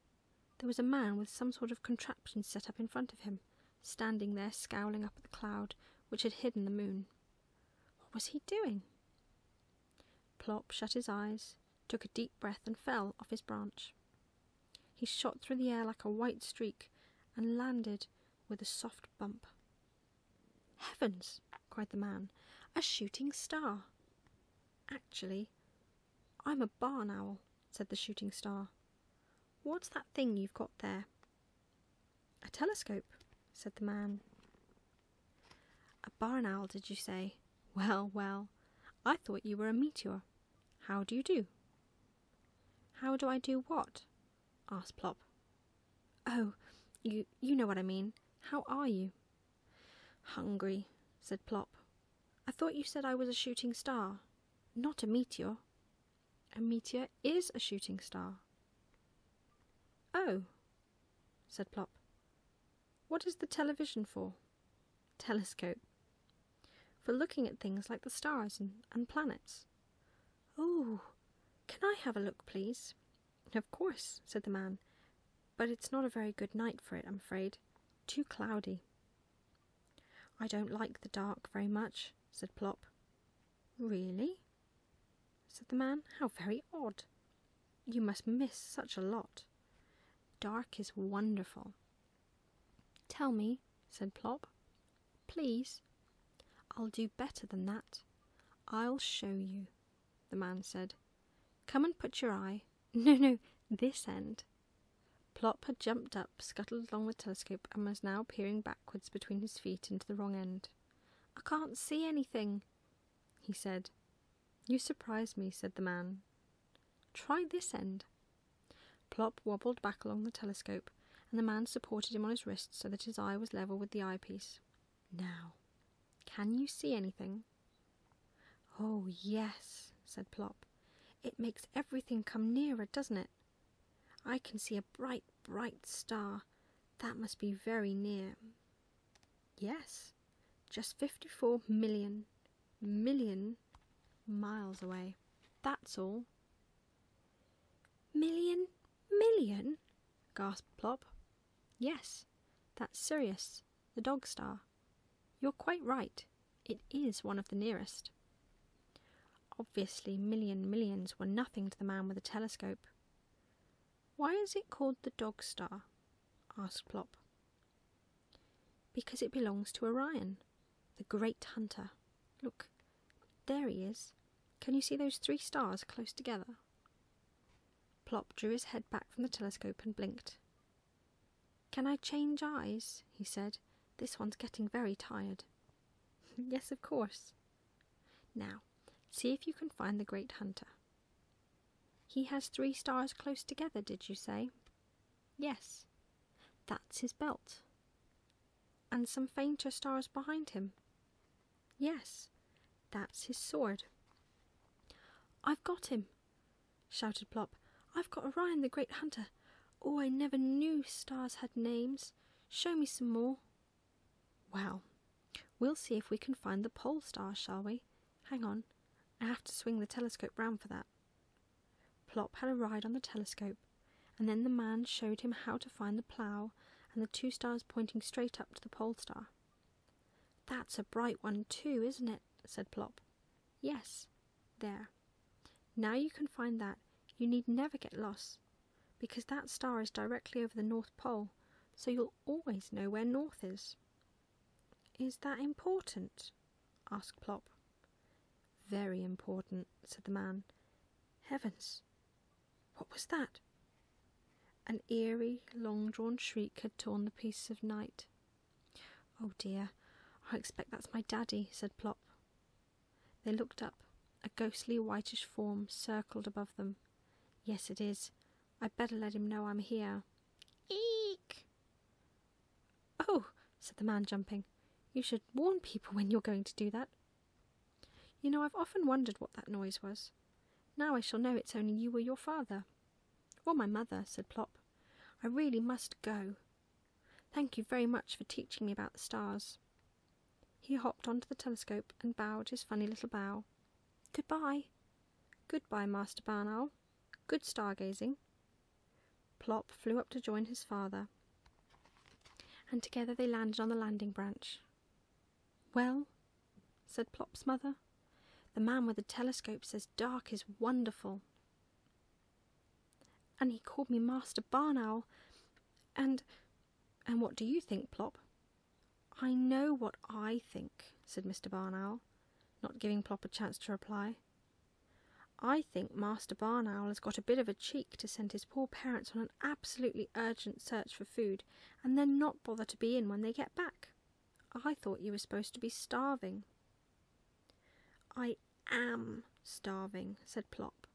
There was a man with some sort of contraption set up in front of him, standing there scowling up at the cloud which had hidden the moon. What was he doing? Plop shut his eyes, took a deep breath, and fell off his branch. He shot through the air like a white streak and landed with a soft bump. Heavens! cried the man, a shooting star! Actually, I'm a barn owl, said the shooting star. What's that thing you've got there? A telescope, said the man. A barn owl, did you say? Well, well, I thought you were a meteor. How do you do? How do I do what? asked Plop. Oh, you, you know what I mean. How are you? Hungry, said Plop. I thought you said I was a shooting star, not a meteor. A meteor is a shooting star. Oh, said Plop. What is the television for? Telescope. For looking at things like the stars and, and planets. Oh, can I have a look, please? Of course, said the man, but it's not a very good night for it, I'm afraid. Too cloudy. I don't like the dark very much, said Plop. Really? said the man. How very odd. You must miss such a lot. Dark is wonderful. Tell me, said Plop, please, I'll do better than that. I'll show you, the man said. Come and put your eye. No, no, this end. Plop had jumped up, scuttled along the telescope, and was now peering backwards between his feet into the wrong end. I can't see anything, he said. You surprise me, said the man. Try this end. Plop wobbled back along the telescope, and the man supported him on his wrist so that his eye was level with the eyepiece. Now, can you see anything? Oh, yes, said Plop. It makes everything come nearer, doesn't it? I can see a bright, bright star. That must be very near. Yes, just 54 million, million miles away. That's all. Million, million? gasped Plop. Yes, that's Sirius, the dog star. You're quite right. It is one of the nearest. Obviously, million millions were nothing to the man with a telescope. Why is it called the dog star? asked Plop. Because it belongs to Orion, the great hunter. Look, there he is, can you see those three stars close together? Plop drew his head back from the telescope and blinked. Can I change eyes? he said. This one's getting very tired. yes, of course. Now, see if you can find the great hunter. He has three stars close together, did you say? Yes. That's his belt. And some fainter stars behind him. Yes, that's his sword. I've got him, shouted Plop. I've got Orion the Great Hunter. Oh, I never knew stars had names. Show me some more. Well, we'll see if we can find the pole star, shall we? Hang on, I have to swing the telescope round for that. Plop had a ride on the telescope, and then the man showed him how to find the plough and the two stars pointing straight up to the pole star. That's a bright one too, isn't it? said Plop. Yes, there. Now you can find that. You need never get lost, because that star is directly over the North Pole, so you'll always know where North is. Is that important? asked Plop. Very important, said the man. Heavens, what was that? An eerie, long drawn shriek had torn the peace of night. Oh dear, I expect that's my daddy, said Plop. They looked up. A ghostly whitish form circled above them. Yes, it is. I'd better let him know I'm here. Eek! Oh, said the man, jumping. You should warn people when you're going to do that. You know, I've often wondered what that noise was. Now I shall know it's only you or your father. Or my mother, said Plop. I really must go. Thank you very much for teaching me about the stars. He hopped onto the telescope and bowed his funny little bow. Goodbye. Goodbye, Master Barn Owl. Good stargazing. Plop flew up to join his father, and together they landed on the landing branch. Well, said Plop's mother, the man with the telescope says dark is wonderful. And he called me Master Barn Owl, and and what do you think, Plop? I know what I think, said Mr. Barn Owl, not giving Plop a chance to reply. I think Master Barn Owl has got a bit of a cheek to send his poor parents on absolutely urgent search for food and then not bother to be in when they get back. I thought you were supposed to be starving. I am starving, said Plop.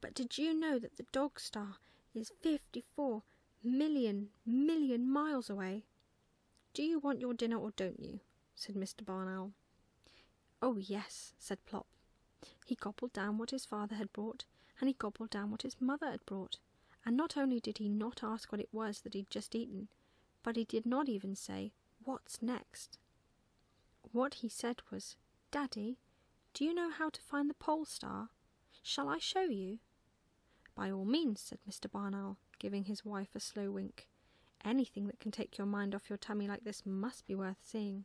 But did you know that the dog star is 54 million million miles away? Do you want your dinner or don't you? said Mr. Barn Owl. Oh, yes, said Plop. He gobbled down what his father had brought, and he gobbled down what his mother had brought, and not only did he not ask what it was that he'd just eaten, but he did not even say, What's next? What he said was, Daddy, do you know how to find the pole star? Shall I show you? By all means, said Mr. Barnell, giving his wife a slow wink. Anything that can take your mind off your tummy like this must be worth seeing.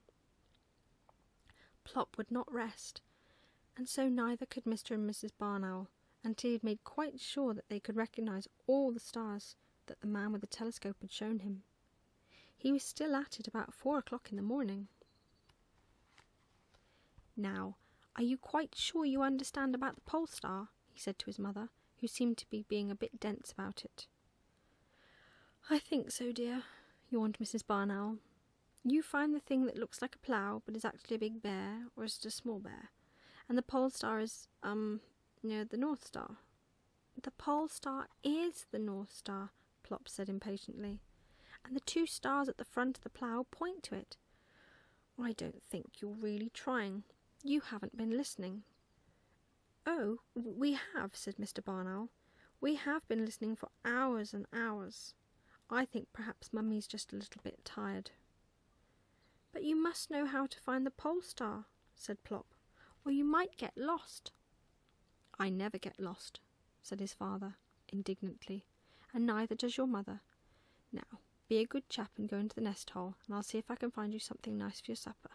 Plop would not rest, and so neither could Mr. and Mrs. Barnowl, Owl until he had made quite sure that they could recognize all the stars that the man with the telescope had shown him. He was still at it about four o'clock in the morning. Now, are you quite sure you understand about the pole star? he said to his mother, who seemed to be being a bit dense about it. I think so, dear, yawned Mrs. Barnowl. You find the thing that looks like a plough but is actually a big bear, or is it a small bear? And the pole star is um near the North Star. The pole star is the North Star, Plop said impatiently, and the two stars at the front of the plough point to it. I don't think you're really trying. You haven't been listening. Oh, we have, said Mr. Barn Owl. We have been listening for hours and hours. I think perhaps Mummy's just a little bit tired. But you must know how to find the pole star, said Plop, or you might get lost. I never get lost, said his father, indignantly, and neither does your mother. Now, be a good chap and go into the nest hole, and I'll see if I can find you something nice for your supper.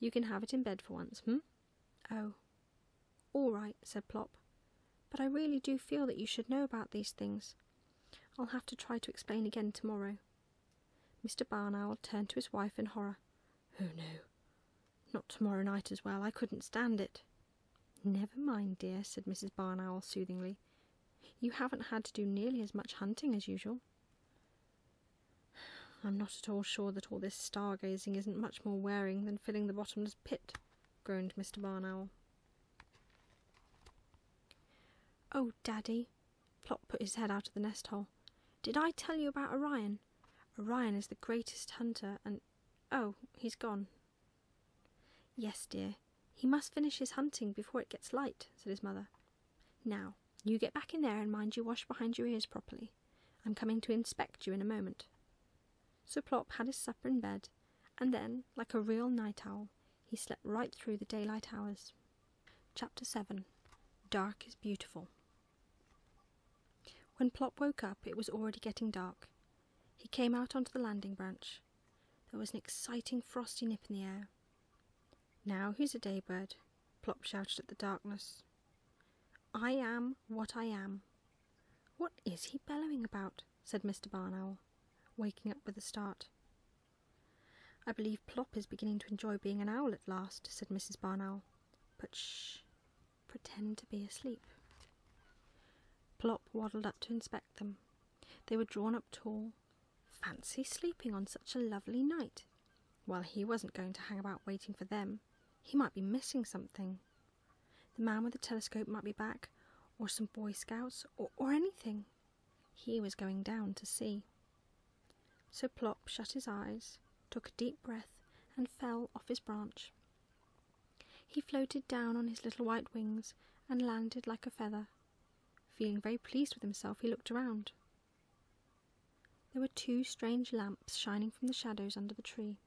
You can have it in bed for once, hm? Oh. All right, said Plop but I really do feel that you should know about these things. I'll have to try to explain again tomorrow. Mr. Barnowl turned to his wife in horror. Oh no, not tomorrow night as well. I couldn't stand it. Never mind, dear, said Mrs. Barnowl soothingly. You haven't had to do nearly as much hunting as usual. I'm not at all sure that all this stargazing isn't much more wearing than filling the bottomless pit, groaned Mr. Barnowl. Oh, Daddy, Plot put his head out of the nest hole. Did I tell you about Orion? Orion is the greatest hunter and. Oh, he's gone. Yes, dear. He must finish his hunting before it gets light, said his mother. Now, you get back in there and mind you wash behind your ears properly. I'm coming to inspect you in a moment. So Plop had his supper in bed, and then, like a real night owl, he slept right through the daylight hours. Chapter 7 Dark is Beautiful. When Plop woke up, it was already getting dark. He came out onto the landing branch. There was an exciting frosty nip in the air. Now who's a day bird? Plop shouted at the darkness. I am what I am. What is he bellowing about? said Mr. Barnowl, waking up with a start. I believe Plop is beginning to enjoy being an owl at last, said Mrs. Barnowl. But sh, pretend to be asleep. Plop waddled up to inspect them. They were drawn up tall. Fancy sleeping on such a lovely night. Well, he wasn't going to hang about waiting for them. He might be missing something. The man with the telescope might be back, or some Boy Scouts, or, anything. He was going down to see. So Plop shut his eyes, took a deep breath, and fell off his branch. He floated down on his little white wings and landed like a feather. Feeling very pleased with himself, he looked around. There were two strange lamps shining from the shadows under the tree.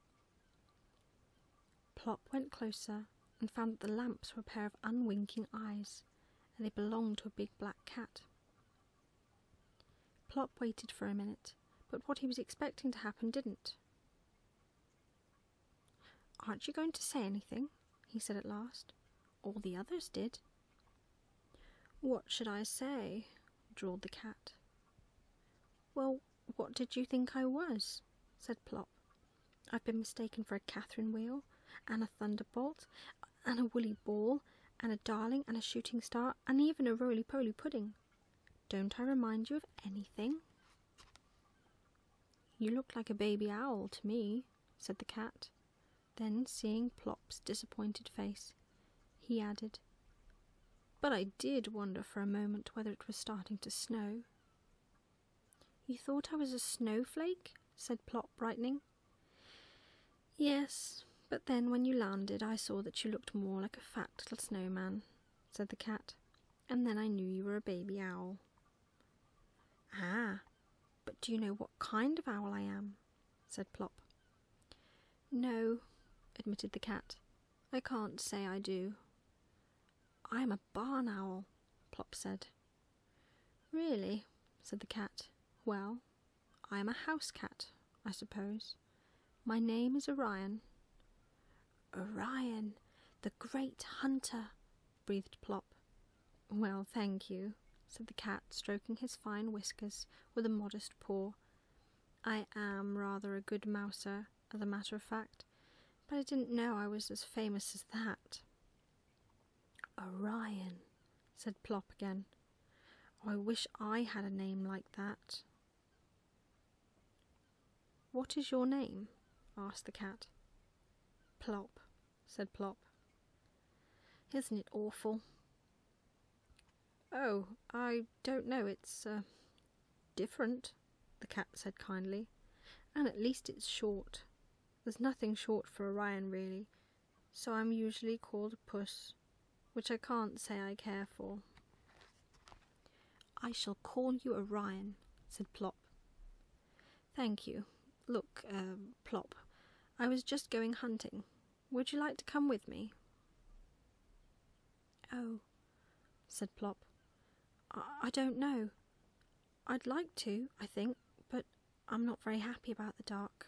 Plop went closer and found that the lamps were a pair of unwinking eyes, and they belonged to a big black cat. Plop waited for a minute, but what he was expecting to happen didn't. Aren't you going to say anything? he said at last. All the others did. What should I say? drawled the cat. Well, what did you think I was? said Plop, I've been mistaken for a Catherine wheel, and a thunderbolt, and a woolly ball, and a darling, and a shooting star, and even a roly poly pudding. Don't I remind you of anything? You look like a baby owl to me, said the cat. Then, seeing Plop's disappointed face, he added, But I did wonder for a moment whether it was starting to snow. You thought I was a snowflake? said Plop, brightening. Yes, but then when you landed, I saw that you looked more like a fat little snowman, said the cat, and then I knew you were a baby owl. Ah, but do you know what kind of owl I am? said Plop. No, admitted the cat. I can't say I do. I'm a barn owl, Plop said. Really? said the cat. Well, I am a house cat, I suppose. My name is Orion. Orion, the great hunter, breathed Plop. Well, thank you, said the cat, stroking his fine whiskers with a modest paw. I am rather a good mouser, as a matter of fact, but I didn't know I was as famous as that. Orion, said Plop again. Oh, I wish I had a name like that. What is your name? asked the cat. Plop, said Plop. Isn't it awful? Oh, I don't know. It's uh, different, the cat said kindly, and at least it's short. There's nothing short for Orion, really, so I'm usually called Puss, which I can't say I care for. I shall call you Orion, said Plop. Thank you. Look, um, Plop, I was just going hunting. Would you like to come with me? Oh, said Plop. I don't know. I'd like to, I think, but I'm not very happy about the dark.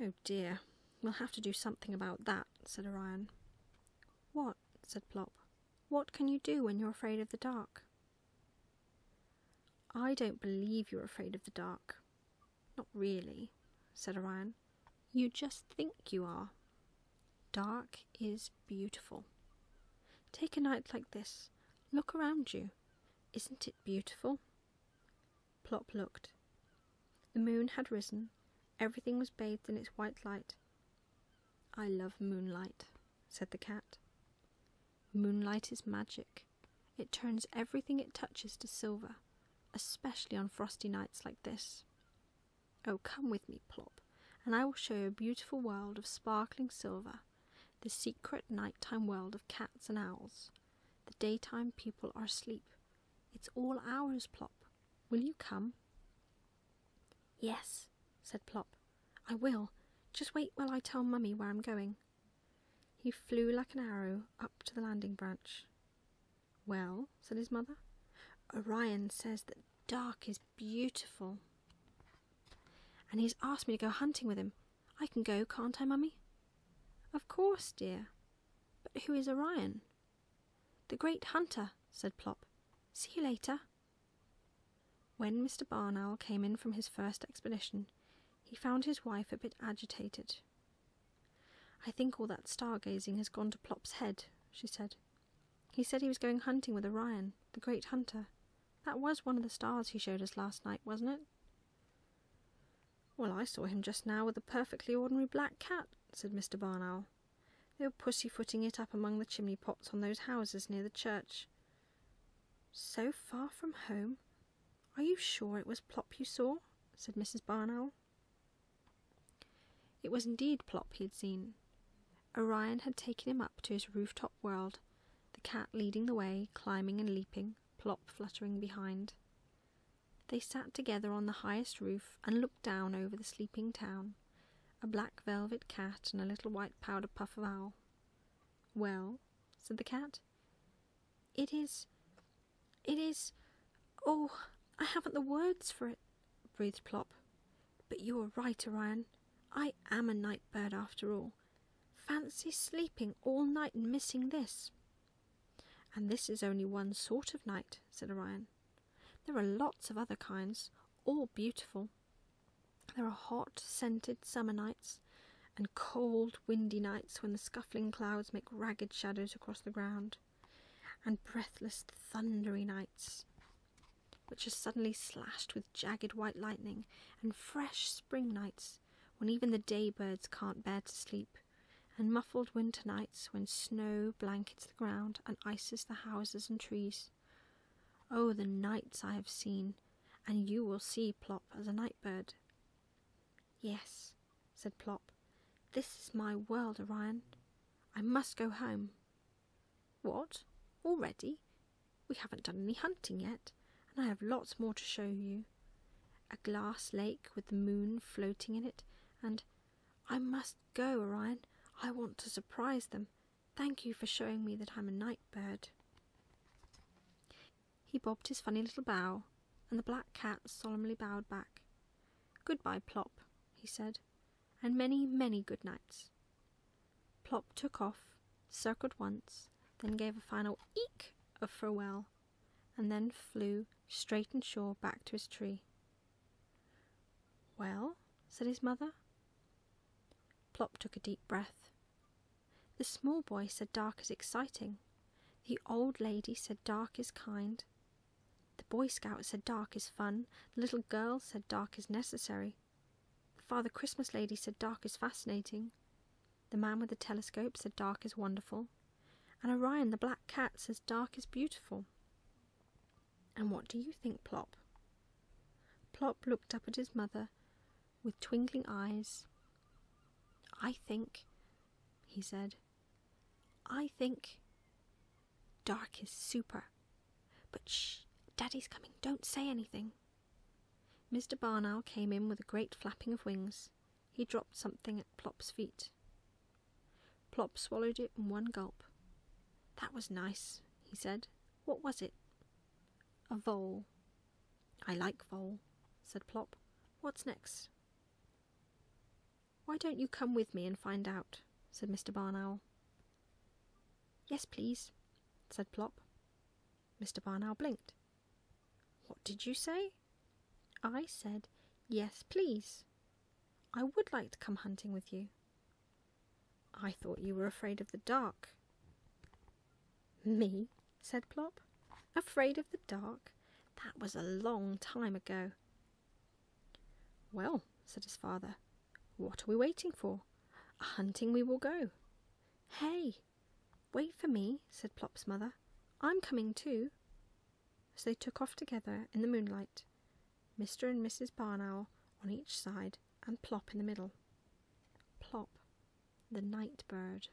Oh dear, we'll have to do something about that, said Orion. What? said Plop. What can you do when you're afraid of the dark? I don't believe you're afraid of the dark. Not really, said Orion. You just think you are. Dark is beautiful. Take a night like this. Look around you. Isn't it beautiful? Plop looked. The moon had risen. Everything was bathed in its white light. I love moonlight, said the cat. Moonlight is magic. It turns everything it touches to silver, especially on frosty nights like this. Oh, come with me, Plop, and I will show you a beautiful world of sparkling silver, the secret nighttime world of cats and owls. The daytime people are asleep. It's all ours, Plop. Will you come? Yes, said Plop. I will. Just wait while I tell Mummy where I'm going. He flew like an arrow up to the landing branch. Well, said his mother, Orion says that dark is beautiful. And he's asked me to go hunting with him. I can go, can't I, Mummy? Of course, dear. But who is Orion? The great hunter, said Plop. See you later. When Mr. Barn Owl came in from his first expedition, he found his wife a bit agitated. I think all that stargazing has gone to Plop's head, she said. He said he was going hunting with Orion, the great hunter. That was one of the stars he showed us last night, wasn't it? Well, I saw him just now with a perfectly ordinary black cat, said Mr. Barnowl. They were pussyfooting it up among the chimney pots on those houses near the church. So far from home? Are you sure it was Plop you saw? said Mrs. Barnowl. It was indeed Plop he had seen. Orion had taken him up to his rooftop world, the cat leading the way, climbing and leaping, Plop fluttering behind. They sat together on the highest roof and looked down over the sleeping town, a black velvet cat and a little white powder puff of owl. Well, said the cat, it is. It is. Oh, I haven't the words for it, breathed Plop. But you are right, Orion. I am a night bird after all. Fancy sleeping all night and missing this. And this is only one sort of night, said Orion. There are lots of other kinds, all beautiful. There are hot, scented summer nights, and cold, windy nights when the scuffling clouds make ragged shadows across the ground, and breathless, thundery nights, which are suddenly slashed with jagged white lightning, and fresh spring nights when even the day birds can't bear to sleep, and muffled winter nights when snow blankets the ground and ices the houses and trees. Oh, the nights I have seen, and you will see Plop as a night bird. Yes, said Plop, this is my world, Orion. I must go home. What? Already? We haven't done any hunting yet, and I have lots more to show you. A glass lake with the moon floating in it, and I must go, Orion. I want to surprise them. Thank you for showing me that I'm a night bird. He bobbed his funny little bow, and the black cat solemnly bowed back. Goodbye, Plop, he said, and many, many good nights. Plop took off, circled once, then gave a final eek of farewell, and then flew straight and sure back to his tree. Well, said his mother. Plop took a deep breath. The small boy said dark is exciting. The old lady said dark is kind. The boy scout said dark is fun. The little girl said dark is necessary. Father Christmas Lady said dark is fascinating. The man with the telescope said dark is wonderful. And Orion the black cat says dark is beautiful. And what do you think, Plop? Plop looked up at his mother with twinkling eyes. I think, he said, I think dark is super. But shh, Daddy's coming, don't say anything. Mr. Barn Owl came in with a great flapping of wings. He dropped something at Plop's feet. Plop swallowed it in one gulp. That was nice, he said. What was it? A vole. I like vole, said Plop. What's next? Why don't you come with me and find out? said Mr. Barn Owl. Yes, please, said Plop. Mr. Barnow blinked. What did you say? I said, Yes, please. I would like to come hunting with you. I thought you were afraid of the dark. Me? said Plop. Afraid of the dark? That was a long time ago. Well, said his father, what are we waiting for? A hunting we will go. Hey, wait for me, said Plop's mother. I'm coming too. So they took off together in the moonlight, Mr. and Mrs. Barn Owl on each side and Plop in the middle. Plop, the night bird.